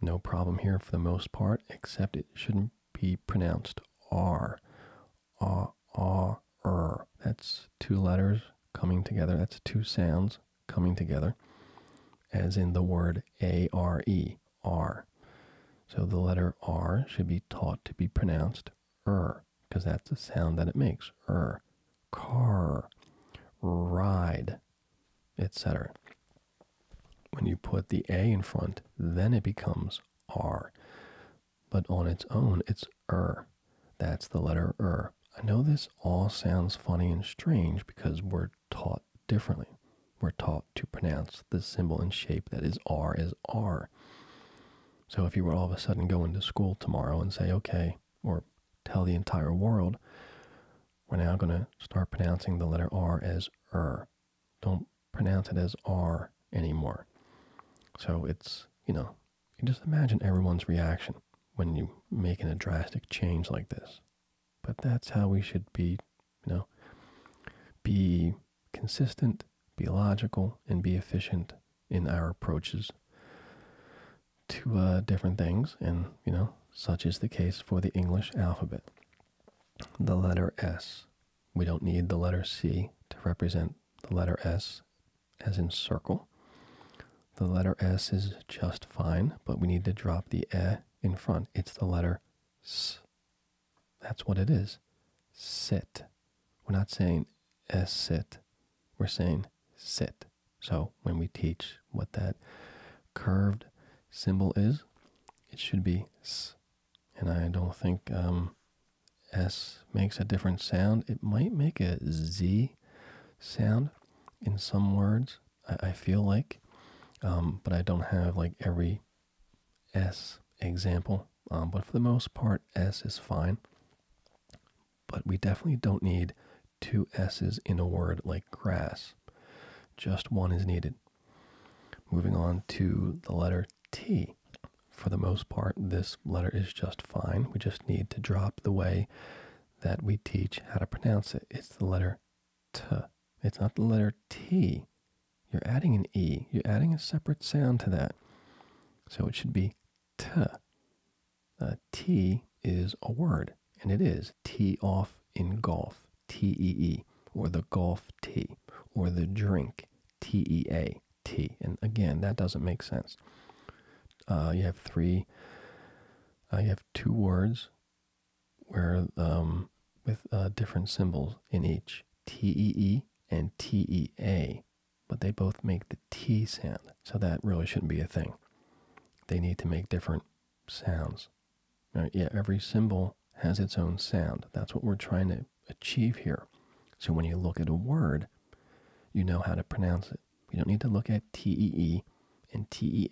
No problem here for the most part, except it shouldn't be pronounced R. R, R, R. That's two letters coming together. That's two sounds coming together, as in the word A R E, R. So the letter R should be taught to be pronounced R, er, because that's the sound that it makes. R, er. car, ride, etc. When you put the A in front, then it becomes R. But on its own, it's R. Er. That's the letter R. I know this all sounds funny and strange because we're taught differently. We're taught to pronounce the symbol and shape that is R as R. So if you were all of a sudden going to school tomorrow and say, okay, or tell the entire world, we're now going to start pronouncing the letter R as er. Don't pronounce it as R anymore. So it's, you know, just imagine everyone's reaction when you making a drastic change like this. But that's how we should be, you know, be consistent, be logical, and be efficient in our approaches to uh, different things. And, you know, such is the case for the English alphabet. The letter S. We don't need the letter C to represent the letter S as in circle. The letter S is just fine, but we need to drop the E in front. It's the letter S. That's what it is. Sit. We're not saying S sit. We're saying sit. So when we teach what that curved symbol is, it should be S. And I don't think um, S makes a different sound. It might make a Z sound in some words, I, feel like, um, but I don't have like every S example. Um, but for the most part, S is fine. But we definitely don't need two S's in a word like grass. Just one is needed. Moving on to the letter T. For the most part, this letter is just fine. We just need to drop the way that we teach how to pronounce it. It's the letter t. It's not the letter T. You're adding an E. You're adding a separate sound to that. So it should be t. Uh, t is a word, and it is T off in golf, T E E, or the golf T, or the drink, T E A T. And again, that doesn't make sense. Uh, you have three, uh, you have two words where um, with uh, different symbols in each TEE and TEA, but they both make the T sound, so that really shouldn't be a thing. They need to make different sounds. Now, yeah, every symbol has its own sound. That's what we're trying to achieve here. So when you look at a word, you know how to pronounce it. You don't need to look at TEE and TEA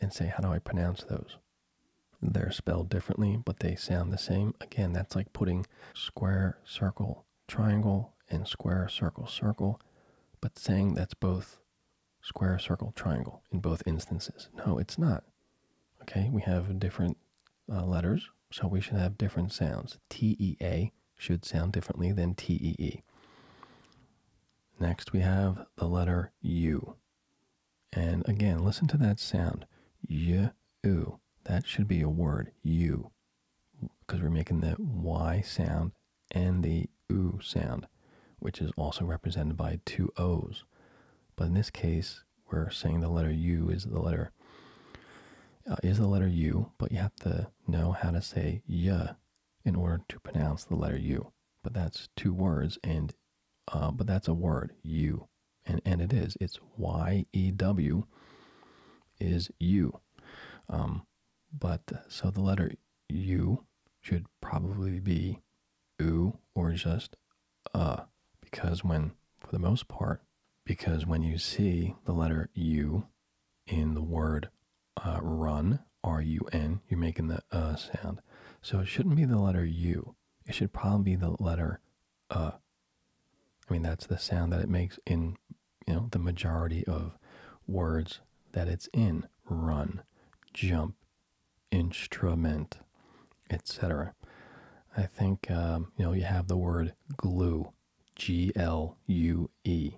and say, how do I pronounce those? They're spelled differently, but they sound the same. Again, that's like putting square, circle, triangle, and square, circle, circle, but saying that's both square, circle, triangle in both instances. No, it's not. Okay, we have different uh, letters, so we should have different sounds. TEA should sound differently than TEE. Next, we have the letter U. And again, listen to that sound. Y, oo. That should be a word, you, because we're making the Y sound and the oo sound, which is also represented by two O's. But in this case, we're saying the letter U is the letter uh, is the letter U, but you have to know how to say y in order to pronounce the letter U. But that's two words, and uh, but that's a word, you. And, and it is. It's Y E W is you. Um, but so the letter U should probably be oo or just A, uh, because when, for the most part, because when you see the letter U in the word uh, run, R-U-N, you're making the uh sound. So it shouldn't be the letter U. It should probably be the letter uh. I mean, that's the sound that it makes in, you know, the majority of words that it's in. Run, jump, instrument, etc. I think, um, you know, you have the word glue, G-L-U-E.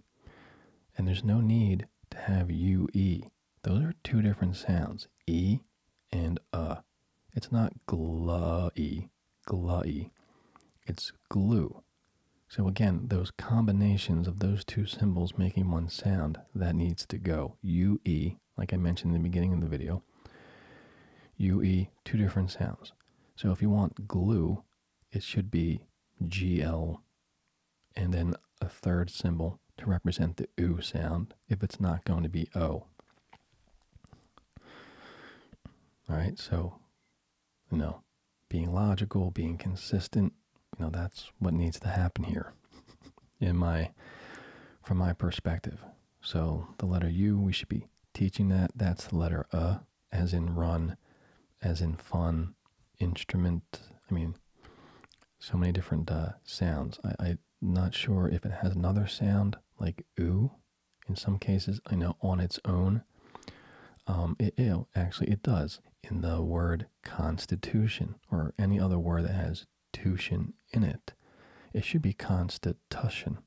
And there's no need to have UE those are two different sounds, e and uh. It's not glu e, glu e. It's glue. So again, those combinations of those two symbols making one sound, that needs to go. UE, like I mentioned in the beginning of the video, UE, two different sounds. So if you want glue, it should be GL and then a third symbol to represent the oo sound if it's not going to be o. All right, so you know, being logical, being consistent, you know, that's what needs to happen here in my from my perspective. So the letter U, we should be teaching that. That's the letter uh, as in run, as in fun, instrument. I mean, so many different uh, sounds. I not sure if it has another sound like oo. In some cases, I know on its own. Um, it, actually, it does in the word constitution or any other word that has tution in it. It should be constitution.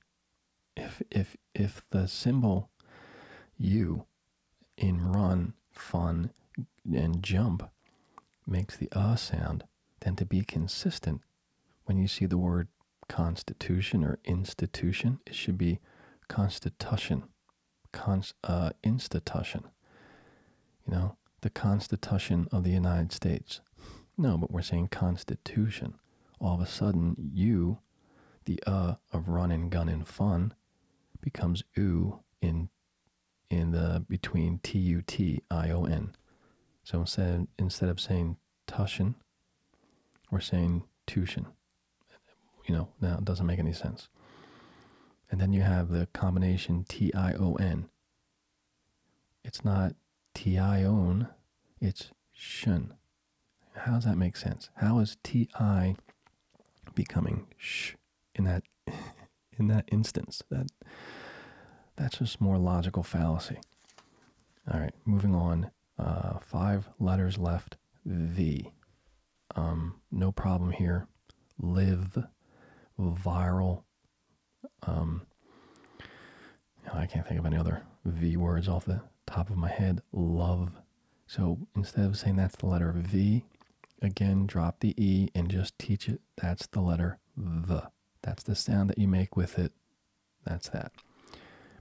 If if if the symbol u in run, fun, and jump makes the uh sound, than to be consistent. When you see the word constitution or institution, it should be constitution, uh, institution. You know, the Constitution of the United States. No, but we're saying constitution. All of a sudden, you, the uh of run and gun and fun, becomes oo in in the between T U T I O N. So instead instead of saying tushin, we're saying tushin. You know, now it doesn't make any sense. And then you have the combination T I O N. It's not T I O-N, it's shun. How does that make sense? How is T I becoming sh? in that in that instance. That that's just more logical fallacy. All right, moving on. Uh, five letters left. V. Um, no problem here. Live. Viral. Um, oh, I can't think of any other V words off the top of my head. Love. So instead of saying that's the letter V, again, drop the E and just teach it that's the letter V. That's the sound that you make with it. That's that.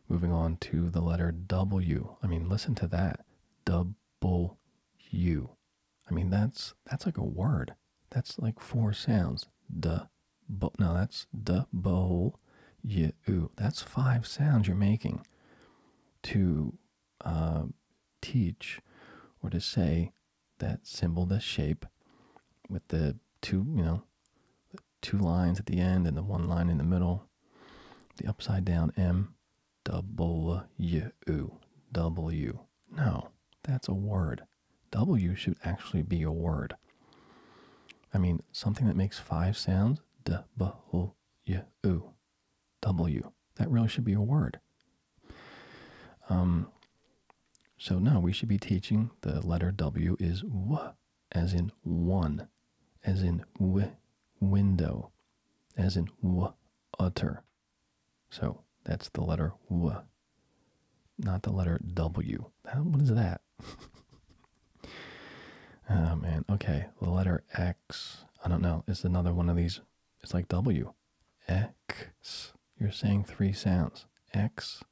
Moving on to the letter W. I mean, listen to that. Double U. I mean, that's that's like a word. That's like four sounds. Duh. But no, that's the bowl, you. That's five sounds you're making to uh, teach or to say that symbol, that shape, with the two, you know, two lines at the end and the one line in the middle, the upside down M, W, W. No, that's a word. W should actually be a word. I mean, something that makes five sounds, W, W. That really should be a word. Um, so now we should be teaching the letter W is w, as in one, as in w, window, as in w, utter. So that's the letter w, not the letter W. What is that? oh man, okay, the letter X, I don't know, Is another one of these, it's like W. X. You're saying three sounds. X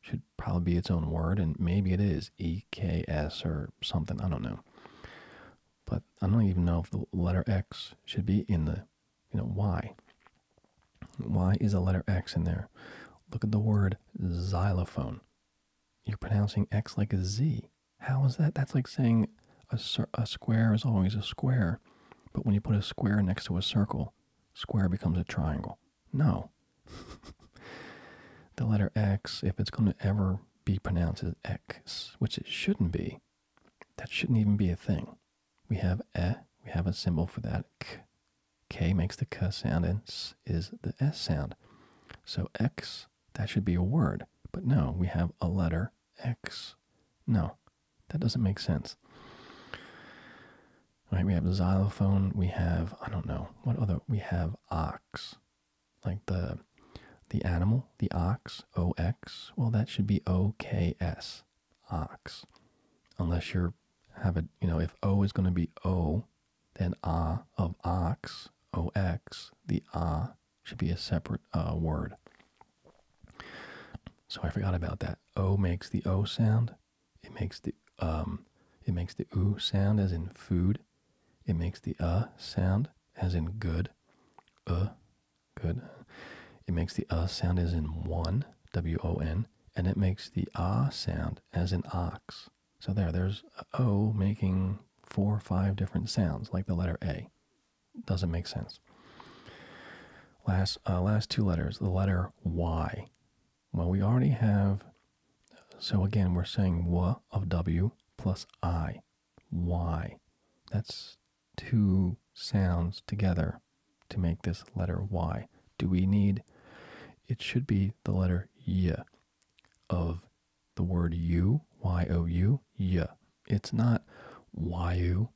should probably be its own word, and maybe it is EKS or something. I don't know. But I don't even know if the letter X should be in the, you know, Y. Why is a letter X in there? Look at the word xylophone. You're pronouncing X like a Z. How is that? That's like saying a, a square is always a square. But when you put a square next to a circle, Square becomes a triangle. No. the letter X, if it's going to ever be pronounced as X, which it shouldn't be, that shouldn't even be a thing. We have E, we have a symbol for that. K, K makes the K sound, and S is the S sound. So X, that should be a word. But no, we have a letter X. No, that doesn't make sense. Right? we have xylophone. We have I don't know what other. We have ox, like the the animal, the ox, O X. Well, that should be O K S, ox. Unless you're have it, you know, if O is going to be O, then ah of ox, O X. The ah should be a separate uh, word. So I forgot about that. O makes the O sound. It makes the um, it makes the oo sound as in food. It makes the uh sound as in good. Uh, good. It makes the uh sound as in one, W O N, and it makes the ah sound as in ox. So there, there's O making four or five different sounds, like the letter A. Doesn't make sense. Last, uh, last two letters, the letter Y. Well, we already have, so again, we're saying W of W plus I, Y. That's two sounds together to make this letter Y. Do we need, it should be the letter Y of the word you, Y-O-U, Y. It's not Y-U,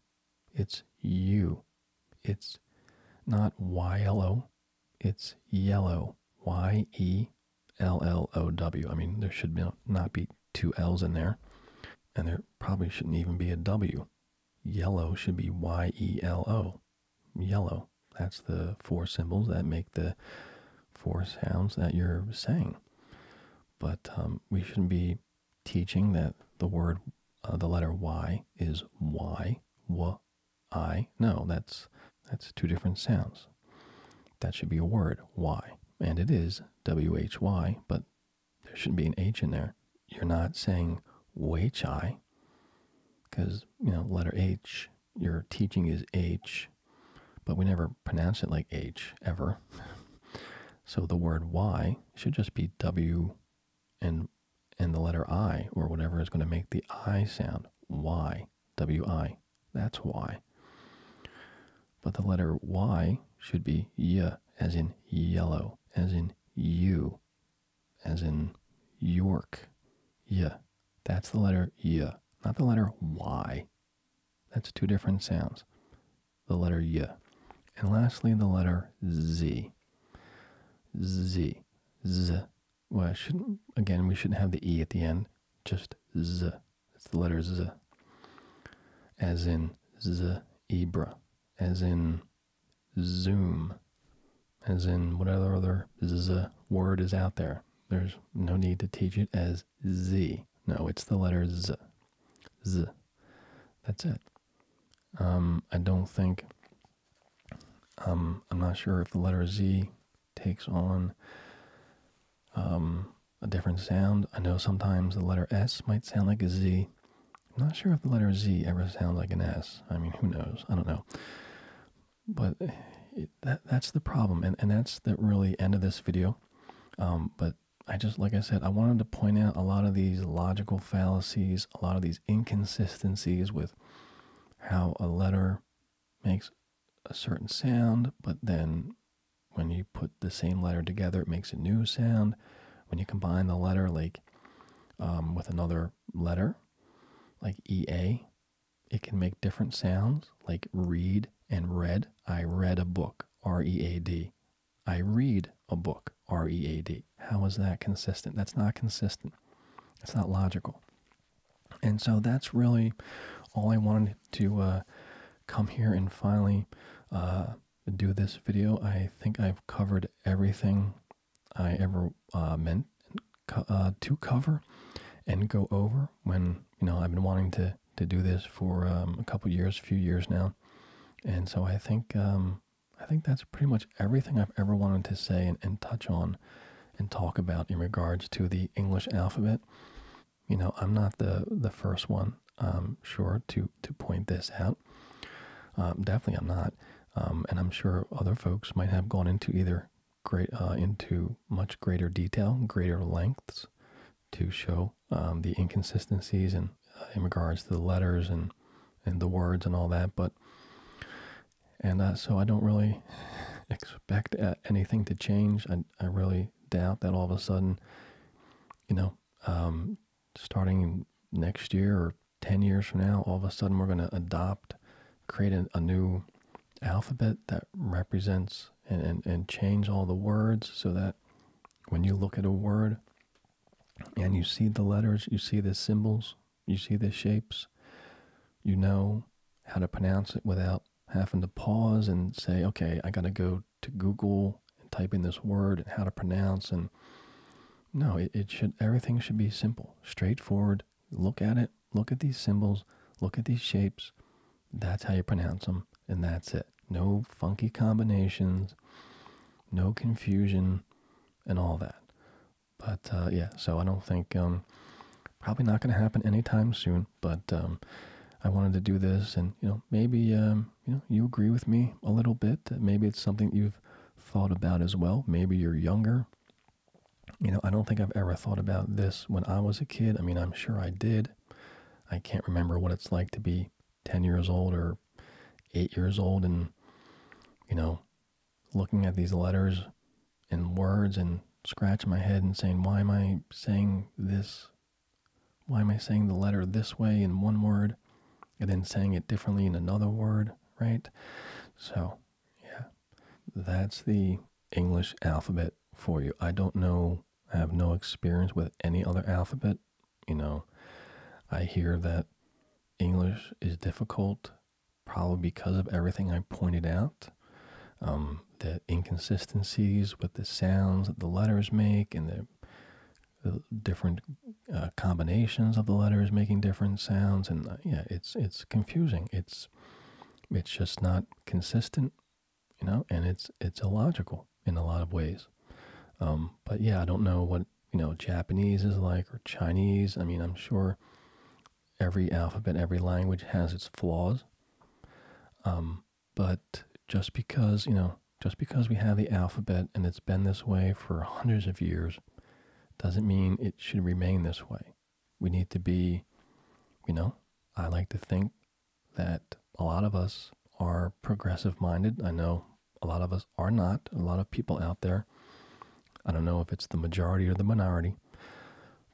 it's U, It's not yellow. It's yellow. Y E L L O W. I mean, there should be, not be two L's in there, and there probably shouldn't even be a W. Yellow should be Y E L O. Yellow. That's the four symbols that make the four sounds that you're saying. But um, we shouldn't be teaching that the word, uh, the letter Y is Y, W, I. No, that's that's two different sounds. That should be a word, Y, and it is W H Y, but there shouldn't be an H in there. You're not saying WHI because you know letter H. Your teaching is H, but we never pronounce it like H ever. so the word Y should just be W and and the letter I or whatever is going to make the I sound. Y, W-I, that's Y. But the letter Y should be Y, as in yellow, as in you, as in York. Y, that's the letter Y, not the letter Y. That's two different sounds. The letter Y. And lastly, the letter Z. Z. Z. Well, I shouldn't, again, we shouldn't have the E at the end. Just Z. It's the letter Z. As in Z. Ibra. As in Zoom. As in whatever other Z word is out there. There's no need to teach it as Z. No, it's the letter Z. Z. That's it. Um, I don't think. Um, I'm not sure if the letter Z takes on um, a different sound. I know sometimes the letter S might sound like a Z. I'm not sure if the letter Z ever sounds like an S. I mean, who knows? I don't know. But that's the problem, and and that's the really end of this video. but I just like I said, I wanted to point out a lot of these logical fallacies, a lot of these inconsistencies with how a letter makes a certain sound, but then when you put the same letter together, it makes a new sound. When you combine the letter like um, with another letter, like EA, it can make different sounds, like read and read. I read a book, R E A D. I read a book. R E A D. How is that consistent? That's not consistent. It's not logical. And so that's really all I wanted to uh, come here and finally uh, do this video. I think I've covered everything I ever uh, meant to cover and go over when, you know, I've been wanting to, to do this for um, a couple years, a few years now. And so I think um, I think that's pretty much everything I've ever wanted to say and, touch on and talk about in regards to the English alphabet. You know, I'm not the, the first one, I'm um, sure, to, to point this out. Um, definitely I'm not. Um, and I'm sure other folks might have gone into either great uh, into much greater detail, greater lengths to show the inconsistencies and uh, in regards to the letters and and the words and all that but and uh, so i don't really expect uh, anything to change i i really doubt that all of a sudden you know um, starting next year or 10 years from now all of a sudden we're going to adopt create a, a new alphabet that represents and, and and change all the words so that when you look at a word and you see the letters you see the symbols you see the shapes. You know how to pronounce it without having to pause and say, okay, I got to go to Google and type in this word and how to pronounce. And no, it, should, everything should be simple, straightforward. Look at it. Look at these symbols. Look at these shapes. That's how you pronounce them. And that's it. No funky combinations, no confusion, and all that. But uh, yeah, so I don't think um, probably not going to happen anytime soon. But um, I wanted to do this, and you know, maybe um, you know you agree with me a little bit that maybe it's something you've thought about as well. Maybe you're younger. You know, I don't think I've ever thought about this when I was a kid. I mean, I'm sure I did. I can't remember what it's like to be 10 years old or eight years old and, you know, looking at these letters and words and scratching my head and saying, why am I saying this? Why am I saying the letter this way in one word and then saying it differently in another word, right? So, yeah, that's the English alphabet for you. I don't know, I have no experience with any other alphabet. You know, I hear that English is difficult probably because of everything I pointed out. Um, the inconsistencies with the sounds that the letters make and the, different uh, combinations of the letters making different sounds and uh, yeah it's it's confusing it's it's just not consistent you know and it's it's illogical in a lot of ways um, but yeah I don't know what you know Japanese is like or Chinese. I mean, I'm sure every alphabet, every language has its flaws. Um, but just because you know, just because we have the alphabet and it's been this way for hundreds of years, doesn't mean it should remain this way. We need to be, you know, I like to think that a lot of us are progressive minded. I know a lot of us are not. A lot of people out there I don't know if it's the majority or the minority,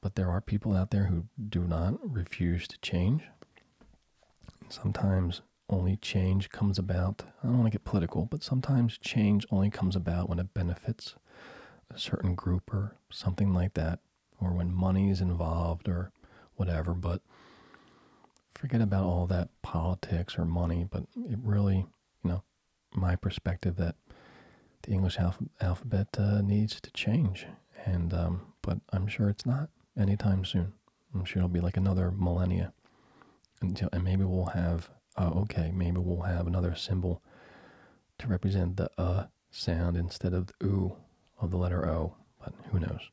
but there are people out there who do not refuse to change. Sometimes only change comes about, I don't want to get political, but sometimes change only comes about when it benefits a certain group or something like that, or when money is involved or whatever. But forget about all that politics or money, but it really, you know, my perspective that the English alphabet uh, needs to change, and um, but I'm sure it's not anytime soon. I'm sure it'll be like another millennia until, and maybe we'll have. Oh, okay, maybe we'll have another symbol to represent the uh sound instead of the oo of the letter O, but who knows?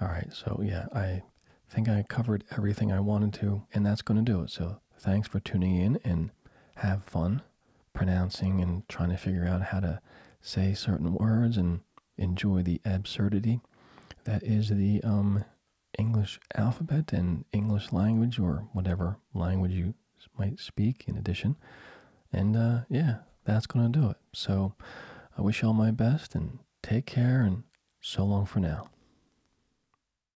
All right, so yeah, I think I covered everything I wanted to, and that's going to do it. So thanks for tuning in and have fun pronouncing and trying to figure out how to say certain words and enjoy the absurdity that is the um, English alphabet and English language or whatever language you might speak in addition. And uh, yeah, that's going to do it. So I wish all my best and take care and so long for now.